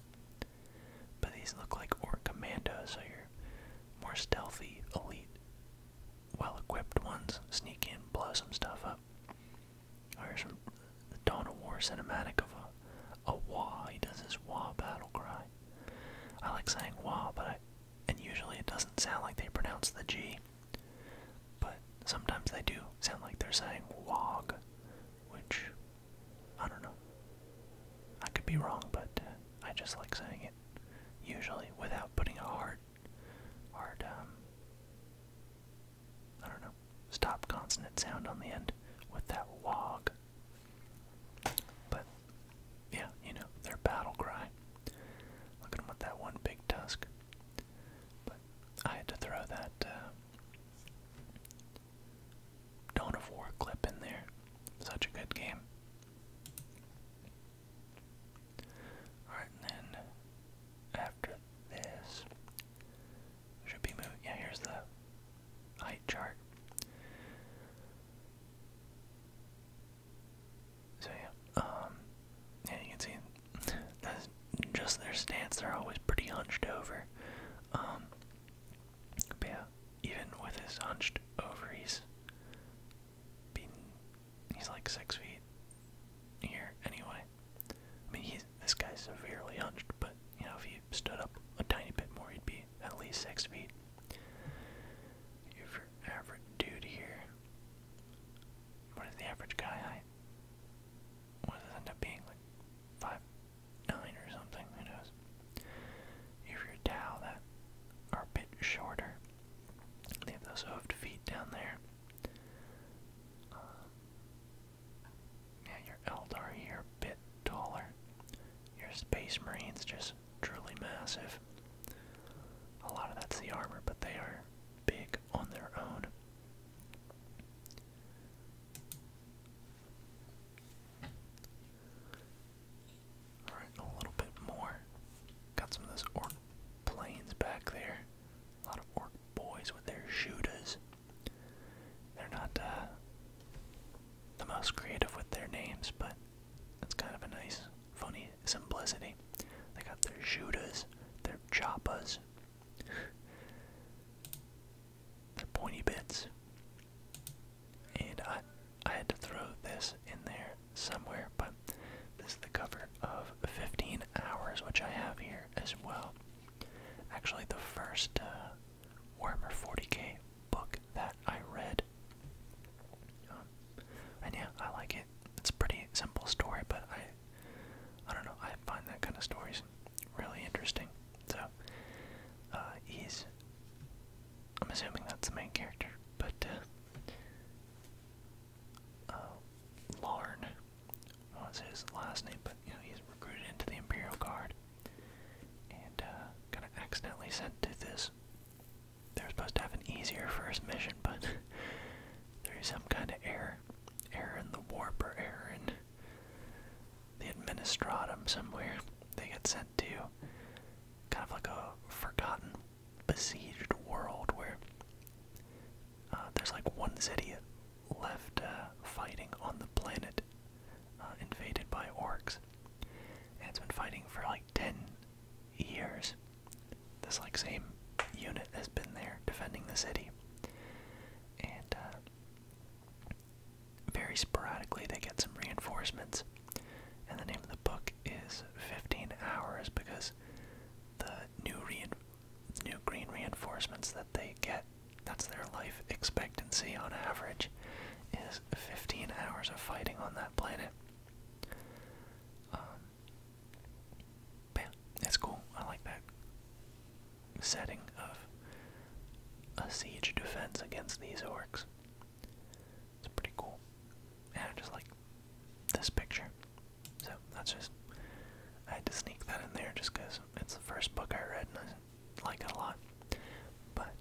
But these look like orc commandos, so you're more stealthy, elite, well-equipped ones. Sneak in, blow some stuff up. Oh, here's from the Dawn of War cinematic of a, a wah. He does his wah battle cry. I like saying wah, but I, and usually it doesn't sound like they pronounce the G. But sometimes they do sound like they're saying wog, which, I don't know. I could be wrong, but uh, I just like saying it usually without putting a hard, hard, um, I don't know, stop consonant sound on the end with that log. But yeah, you know, their battle cry. Look at with that one big tusk. But I had to throw that uh, of War clip in there. Such a good game. Alright, and after this, should be moving. Yeah, here's the height chart. So yeah, um, yeah, you can see that's just their stance. They're always pretty hunched over. Um, yeah, even with his hunched over, he he's like six feet here anyway. I mean, he's this guy's severely hunched, but you know, if he stood up a tiny bit more, he'd be at least six feet. Your average dude here. What is the average guy height? What does end up being? Like five nine or something, who knows? If you're Tao that are a bit shorter. They those hoofed feet down there. Uh, yeah, your Eldar here a bit taller. Your Space Marines just truly massive. A lot of that's the armor, but they are big on their own. Alright, a little bit more. Got some of those orc planes back there. A lot of orc boys with their shooters. They're not uh, the most creative with their names, but it's kind of a nice, funny simplicity. They got their Judas, their choppas, their pointy bits, and I, I had to throw this in there somewhere, but this is the cover of 15 Hours, which I have here as well. Actually, the first uh, Warhammer 40k book that I read. Um, and yeah, I like it. It's a pretty simple story, but I, I don't know. I find that kind of stories really interesting. So, uh, he's. I'm assuming that's the main character, but uh, uh, Larn was his last name. But you know, he's recruited into the Imperial Guard, and kinda uh, accidentally sent to this they're supposed to have an easier first mission, but there's some kind of error. Error in the warp or error in the administratum somewhere. They get sent to kind of like a forgotten besieged world where uh, there's like one city left uh, fighting on the planet uh, invaded by orcs. And it's been fighting for like 10 years. This like same unit has been there defending the city. And uh, very sporadically they get some reinforcements. And the name of the book is 15 Hours because the new, rein new green reinforcements that they get that's their life expectancy on average is 15 hours of fighting on that planet. Um, yeah, cool. I like that setting of a siege defense against these orcs. It's pretty cool. And I just like this picture. So that's just, I had to sneak that in there just because it's the first book I read like a lot. But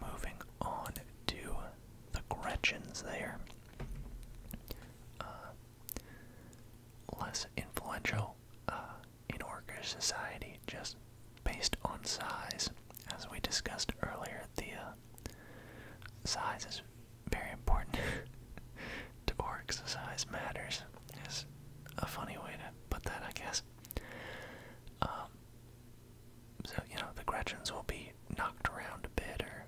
moving on to the Gretchens there. Uh, less influential uh, in worker society just based on size. As we discussed earlier, the uh, size is very important to orcs. Size matters is a funny way to put that, I guess. Um, so, you know, the Gretchens will be knocked around a bit, or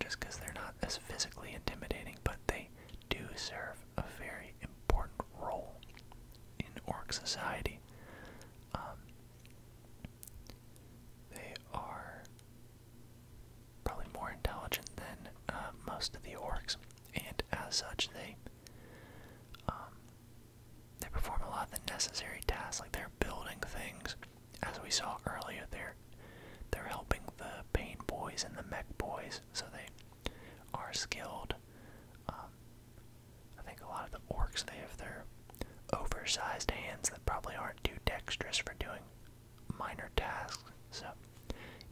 just because they're not as physically intimidating, but they do serve a very important role in orc society. Um, they are probably more intelligent than uh, most of the orcs, and as such, they um, they perform a lot of the necessary tasks, like they're building things, as we saw earlier. They're they're helping the paint boys and the mech boys, so they are skilled. Um, I think a lot of the orcs they have their oversized hands that probably aren't too dexterous for doing minor tasks. So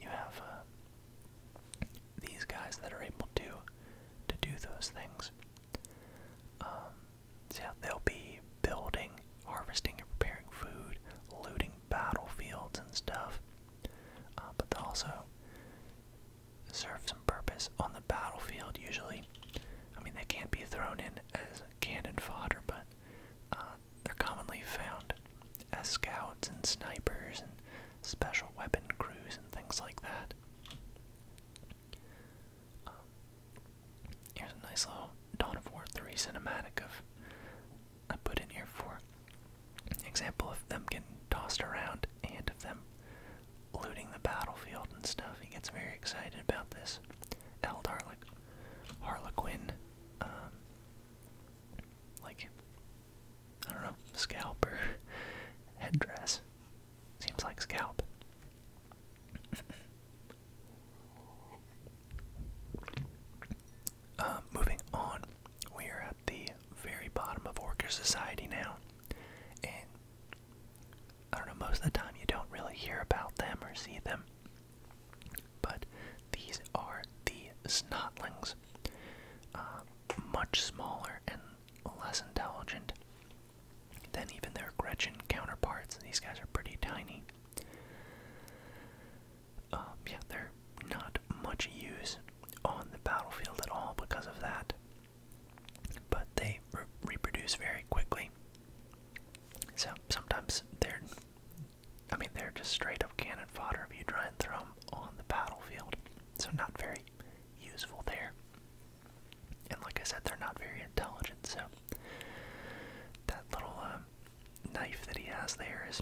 you have uh, these guys that are able to to do those things. Um, so yeah, they'll be building, harvesting, and preparing food, looting battlefields and stuff. Uh, but they also serve some purpose on the battlefield. Usually, I mean they can't be thrown in as cannon fodder, but uh, they're commonly found as scouts and snipers and special weapon crews and things like that. Um, here's a nice little Dawn of War 3 cinematic of I put in here for example of them getting tossed around and of them looting the battlefield and stuff. He gets very excited about this. Eld Harlequin, um, like I don't know, scalp headdress. Seems like scalp. Uh, moving on, we are at the very bottom of Orca Society now. And I don't know, most of the time you don't really hear about them or see them. But these are the Snotlings. Uh, much smaller and less intelligent than even their Gretchen counterparts. these guys are pretty tiny. Um, yeah, they're not much use on the battlefield at all because of that. But they reproduce very quickly. So sometimes they're, I mean, they're just straight up cannon fodder if you try and throw them on the battlefield. So, not very useful there. And like I said, they're not very intelligent, so that little um, knife that he has there is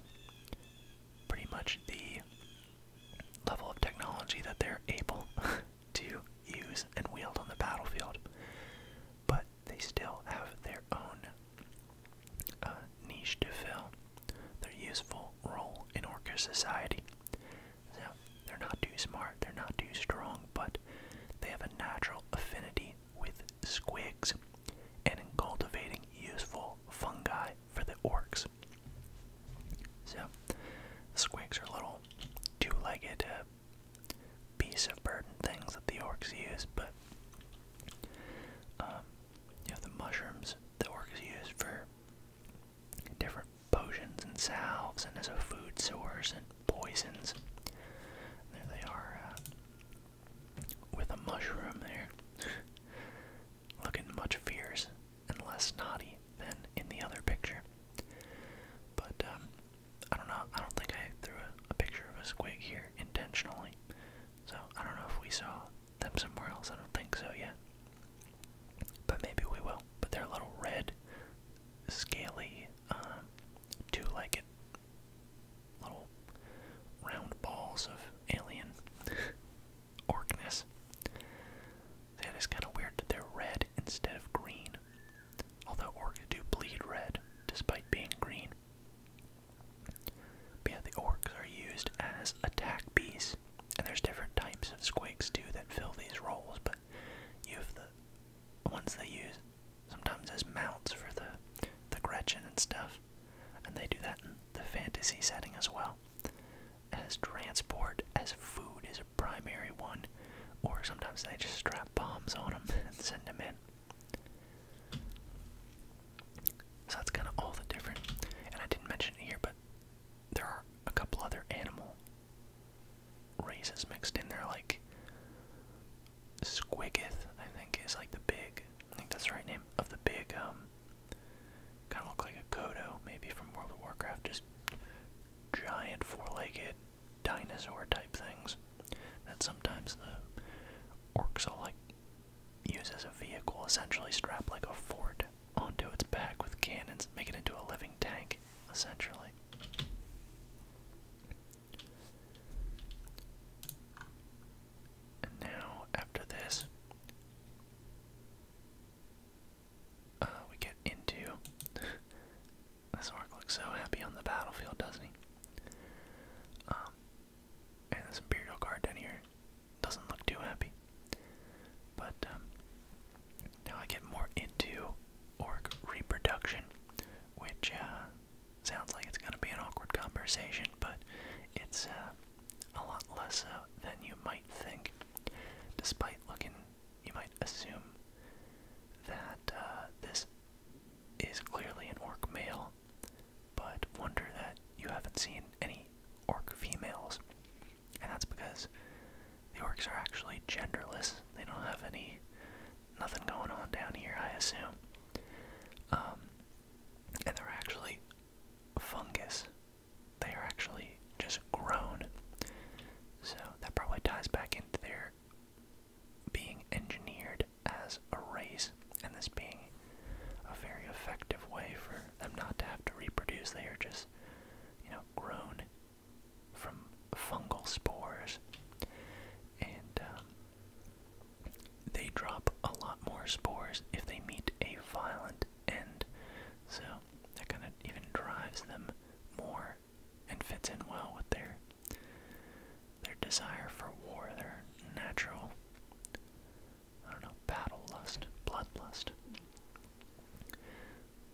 pretty much the level of technology that they're able to use and wield on the battlefield. But they still have their own uh, niche to fill their useful role in orca society. So they're not too smart, they're not too strong, but they have a natural affinity with squigs and cultivating useful fungi for the orcs. So squigs are little two-legged uh, piece of burden things that the orcs use, but um, you know the mushrooms that orcs use for different potions and salves, and as a food source and poisons. There they are uh, with a mushroom there, looking much fierce and less naughty than in the other picture. But um, I don't know. I don't think I threw a, picture of a squid here intentionally. So I don't know if we saw them somewhere else. I don't think so yet. But maybe we will. But they're little red, scaly, um, two legged little round balls of alien orcness. That is kind of weird that they're red instead of green. Although orcs do bleed red despite being green. yeah, the orcs are used as attack bees squeaks. And there's different types of squigs too that fill these roles, but you have the ones they use sometimes as mounts for the the Gretchen and stuff. And they do that in the fantasy setting as well. As transport, as food is a primary one, or sometimes they just strap bombs on them and send them in. So that's kind of all the different, and I didn't mention it here, but there are a couple other animal races mixed in there, like Squigith. I think, is like the big, I think that's the right name, of the big, um, kind of look like a Kodo, maybe from World of Warcraft, just giant four-legged dinosaur type things that sometimes the orcs will like use as a vehicle, essentially strapped like a fort onto its back with cannons, make it into a living tank, essentially. And now, after this, uh, we get into. this orc looks so happy on the battlefield, doesn't he? Um, and this Imperial Guard down here doesn't look too happy. But um, now I get more into orc reproduction, which uh, sounds like it's going to be an awkward conversation, but it's uh, a lot less uh, than you might think. Despite looking, you might assume that uh, this is clearly an orc male, but wonder that you haven't seen any orc females. And that's because the orcs are actually genderless. They don't have any, nothing going on down here, I assume. Um, and they're actually fungus. They are actually just grown. So that probably ties back into their being engineered as a race, and this being a very effective way for them not to have to reproduce. They are just you know, grown from fungal spores, and um, they drop a lot more spores if they meet a violent end. So that kind of even drives them more and fits in well with their their desire for war, their natural I don't know, battle lust, bloodlust.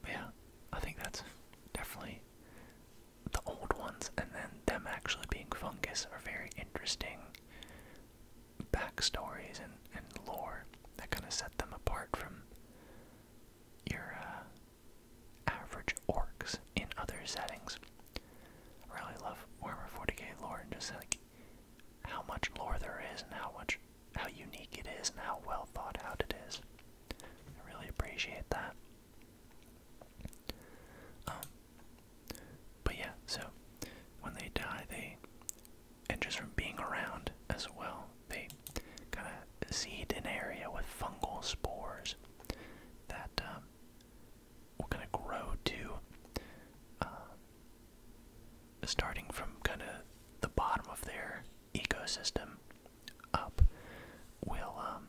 But yeah, I think that's definitely the old ones, and then them actually being fungus are very interesting backstories and, and lore that kind of set them apart from your uh, average orcs in other settings. I really love Warhammer 40k lore and just like how much lore there is and how much how unique it is and how well thought out it is. I really appreciate that. Um, but yeah, so when they die, they and just from being around as well, they kind of seed an area with fungal spores that um, will kind of grow to. Um, starting from kind of the bottom of their ecosystem up will um,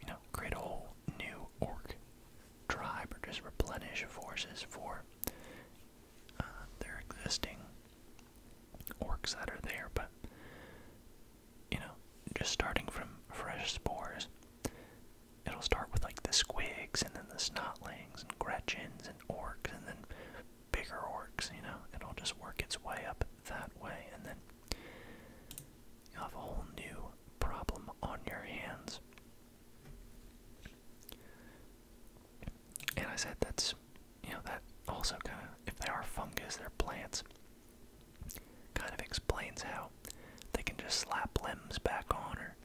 you know create a whole new orc tribe or just replenish forces for uh, their existing orcs that are there but you know just starting from fresh spores it'll start with like the squigs and then the snotlings and gretchens and orcs and then bigger orcs, you know? It'll just work its way up that way, and then you'll have a whole new problem on your hands. And I said that's, you know, that also kind of, if they are fungus, they're plants, kind of explains how they can just slap limbs back on, or,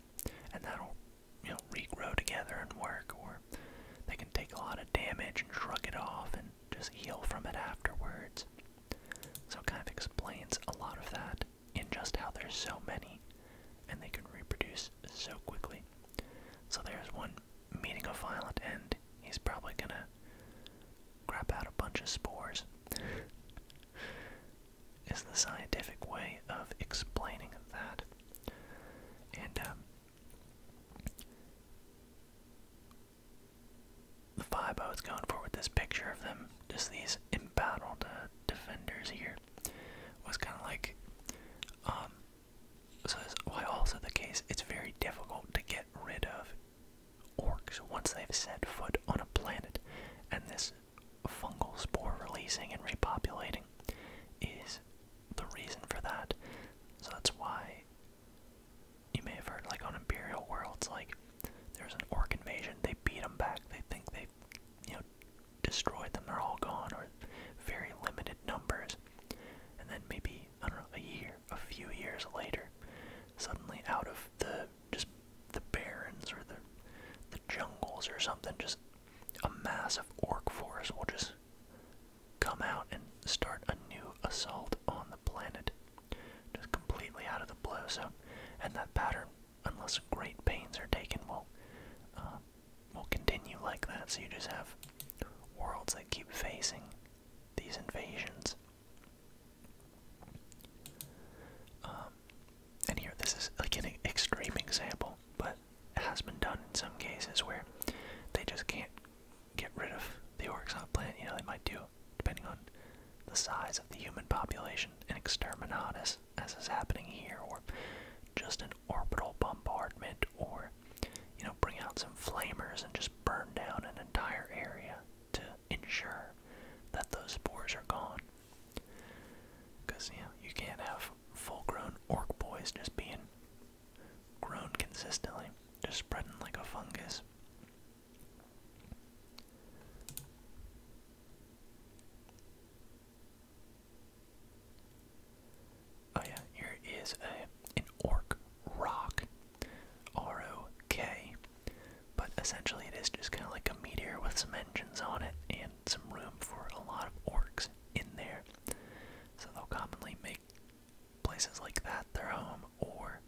and that'll you know, regrow together and work, or they can take a lot of damage and shrug it off and just heal from it afterwards. So it kind of explains a lot of that in just how there's so many and they can reproduce so quickly. So there's one meeting a violent end. He's probably gonna grab out a bunch of spores. is the scientific way of explaining that. And um, the vibe I going for with this picture of them, just these embattled uh, defenders here, was kind of like, um, so why also the case, it's very difficult to get rid of orcs once they've set foot on a planet, and this fungal spore releasing and repopulating is the reason for that. So that's why you may have heard, like on Imperial Worlds, like there's an orc invasion. They beat them back. They think they, you know, destroyed them. They're all gone, or very limited numbers. And then maybe I don't know, a year, a few years later, suddenly out of the just the barrens or the the jungles or something, just a massive orc force will just come out and start a new assault on the planet. Just completely out of the blue. So, and that pattern, unless great pains are taken, will uh, will continue like that. So you just have worlds that keep facing these invasions. Um, and here, this is like an extreme example, but that has been done in some cases where they just can't get rid of the orcs on the planet. You know, they might do, depending on the size of the human population, an exterminatus, as is happening here, or just an orbital bombardment, or, you know, bring out some flamers and just burn down an entire area to ensure that those spores are gone. Because, you know, you can't have full grown ork boys just being grown consistently, just spreading like a fungus. Oh yeah, here is a an orc rock, R O K, but essentially it is just kind of like a meteor with some engines on it and some room for a lot of orcs in there. So they'll commonly make places like that their home, or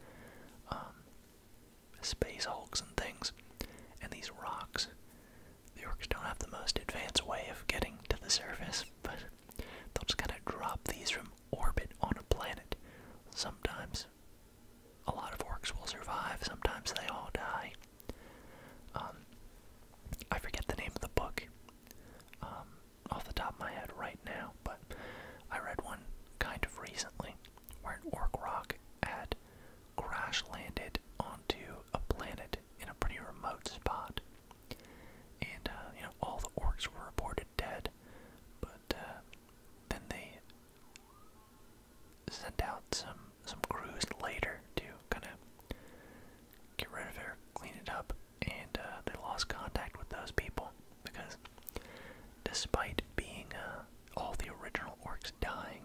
um, space hulks and things. And these rocks, the orcs don't have the most advanced way of getting to the surface, but they'll just kind of drop these from orbit on a planet. Sometimes a lot of orcs will survive, sometimes they all die. Um, I forget the name of the book. Um, off the top of my head right now, but I read one kind of recently where an orc rock had crash landed onto a planet in a pretty remote spot. And, uh, you know, all the orcs were reported dead, but uh, then they sent out some some crews later to kind of get rid of it, clean it up, and uh, they lost contact with those people because despite being uh, all the original orcs dying,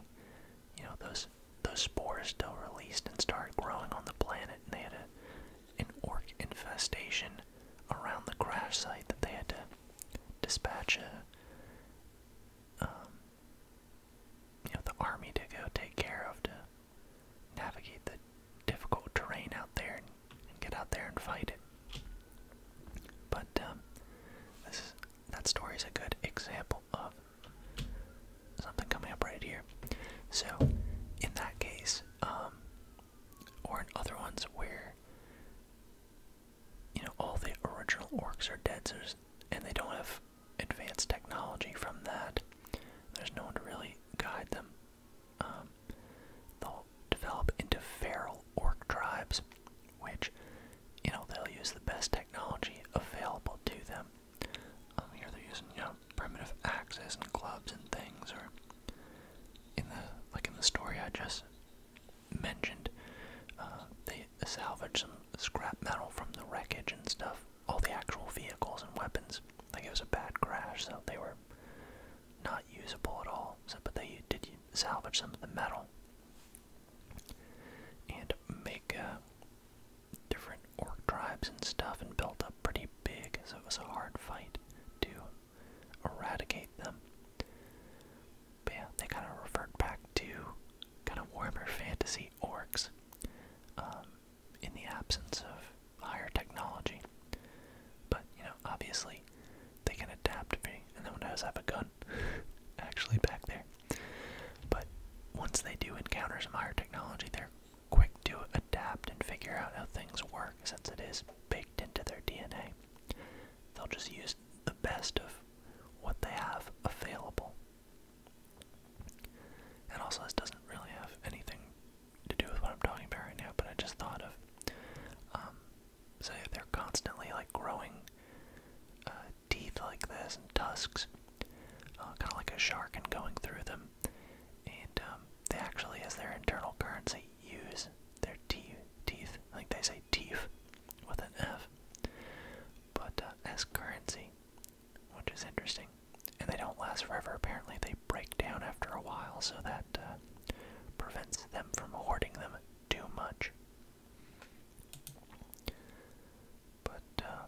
you know those those spores still released and started growing on the planet, and they had a, an orc infestation around the crash site that they had to dispatch a, um, you know, the army to go take care of to navigate the difficult terrain out there and, get out there and fight it. But um, this that story is a good example of something coming up right here. So, in that case, um, or in other ones where you know all the original orcs are dead, and they don't have advanced technology from that, there's no one to really guide them um, they'll develop into feral orc tribes, which, you know, they'll use the best technology available to them. Um, here they're using, you know, primitive axes and clubs and things, or in the like in the story I just mentioned, uh, they salvage some scrap metal from the wreckage and stuff all the actual vehicles and weapons. think it was a bad crash, so they were not usable at all. So, but they did salvage some of the metal and make uh, different orc tribes and stuff, and built up pretty big. So it was a hard fight to eradicate them. But yeah, they kind of referred back to kind of warmer fantasy orcs. Um, in the absence of higher technology. But, you know, obviously they can adapt me, and then when I was have a gun actually back there. But once they do encounter some higher technology, they're quick to adapt and figure out how things work since it is baked into their DNA. They'll just use the best of what they have available. And also, this doesn't really have anything to do with what I'm talking about right now, but I just thought of. Um, so they're constantly like growing uh, teeth like this and tusks, uh, kind of like a shark, and going through them. And um, they actually, as their internal currency, use their te teeth. I think they say teeth with an F, but uh, as currency, which is interesting and they don't last forever. Apparently, they break down after a while, so that uh, prevents them from hoarding them too much. But uh,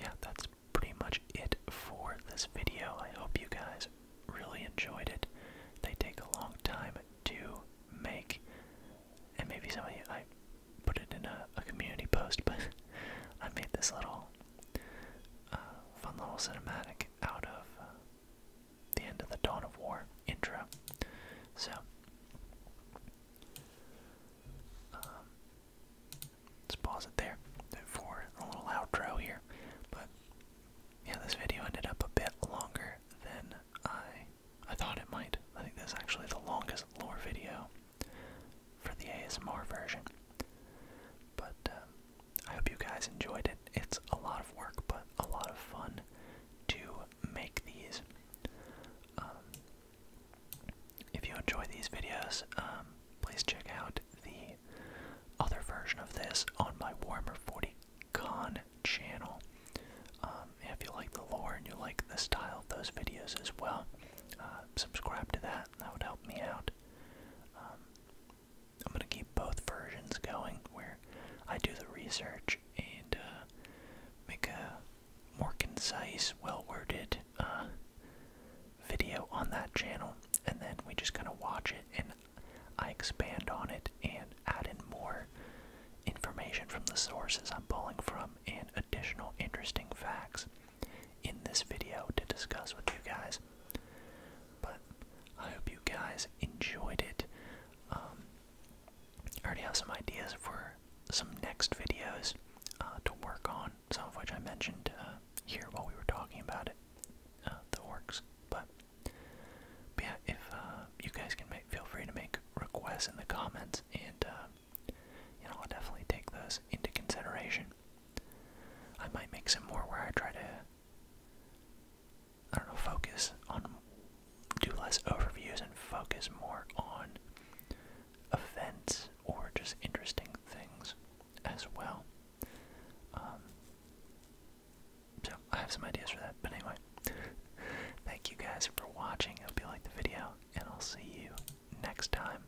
yeah, that's pretty much it for this video. I hope you guys really enjoyed it. They take a long time to make, and maybe some of you I put it in a community post, but I made this little uh, fun little cinematic out of uh, the end of the Dawn of War intro. So, um, let's pause it there for a little outro here. But yeah, this video ended up a bit longer than I I thought it might. I think this is actually the longest lore video for the ASMR version. But um, I hope you guys enjoyed it. It's a lot of work, but a lot of fun to make these. Um, if you enjoy these videos, um, please check out the other version of this on my Warmer 40 Con channel. if you like the lore and you like the style of those videos as well, uh, subscribe to that that. would help me out. Um, I'm gonna keep both versions going, where I do the research and uh, make a more concise, well-worded uh, video on that channel, and then we just kind of watch it, and I expand on it and add in more information from the sources I'm pulling from and additional interesting facts in this video to discuss with you guys. But I hope you guys enjoyed it. Um, I already have some ideas for some next videos uh, to work on, some of which I mentioned uh, here while we were talking about it, uh, the orcs. But, yeah, if you guys can feel free to make requests in the comments, and you know I'll definitely take those into consideration. I might make some more where I try to, I don't know, focus on, do less overviews and focus more on events or just interesting things as well. Um, so I have some ideas for that, but anyway, thank you guys for watching. I hope you liked the video, and I'll see you next time.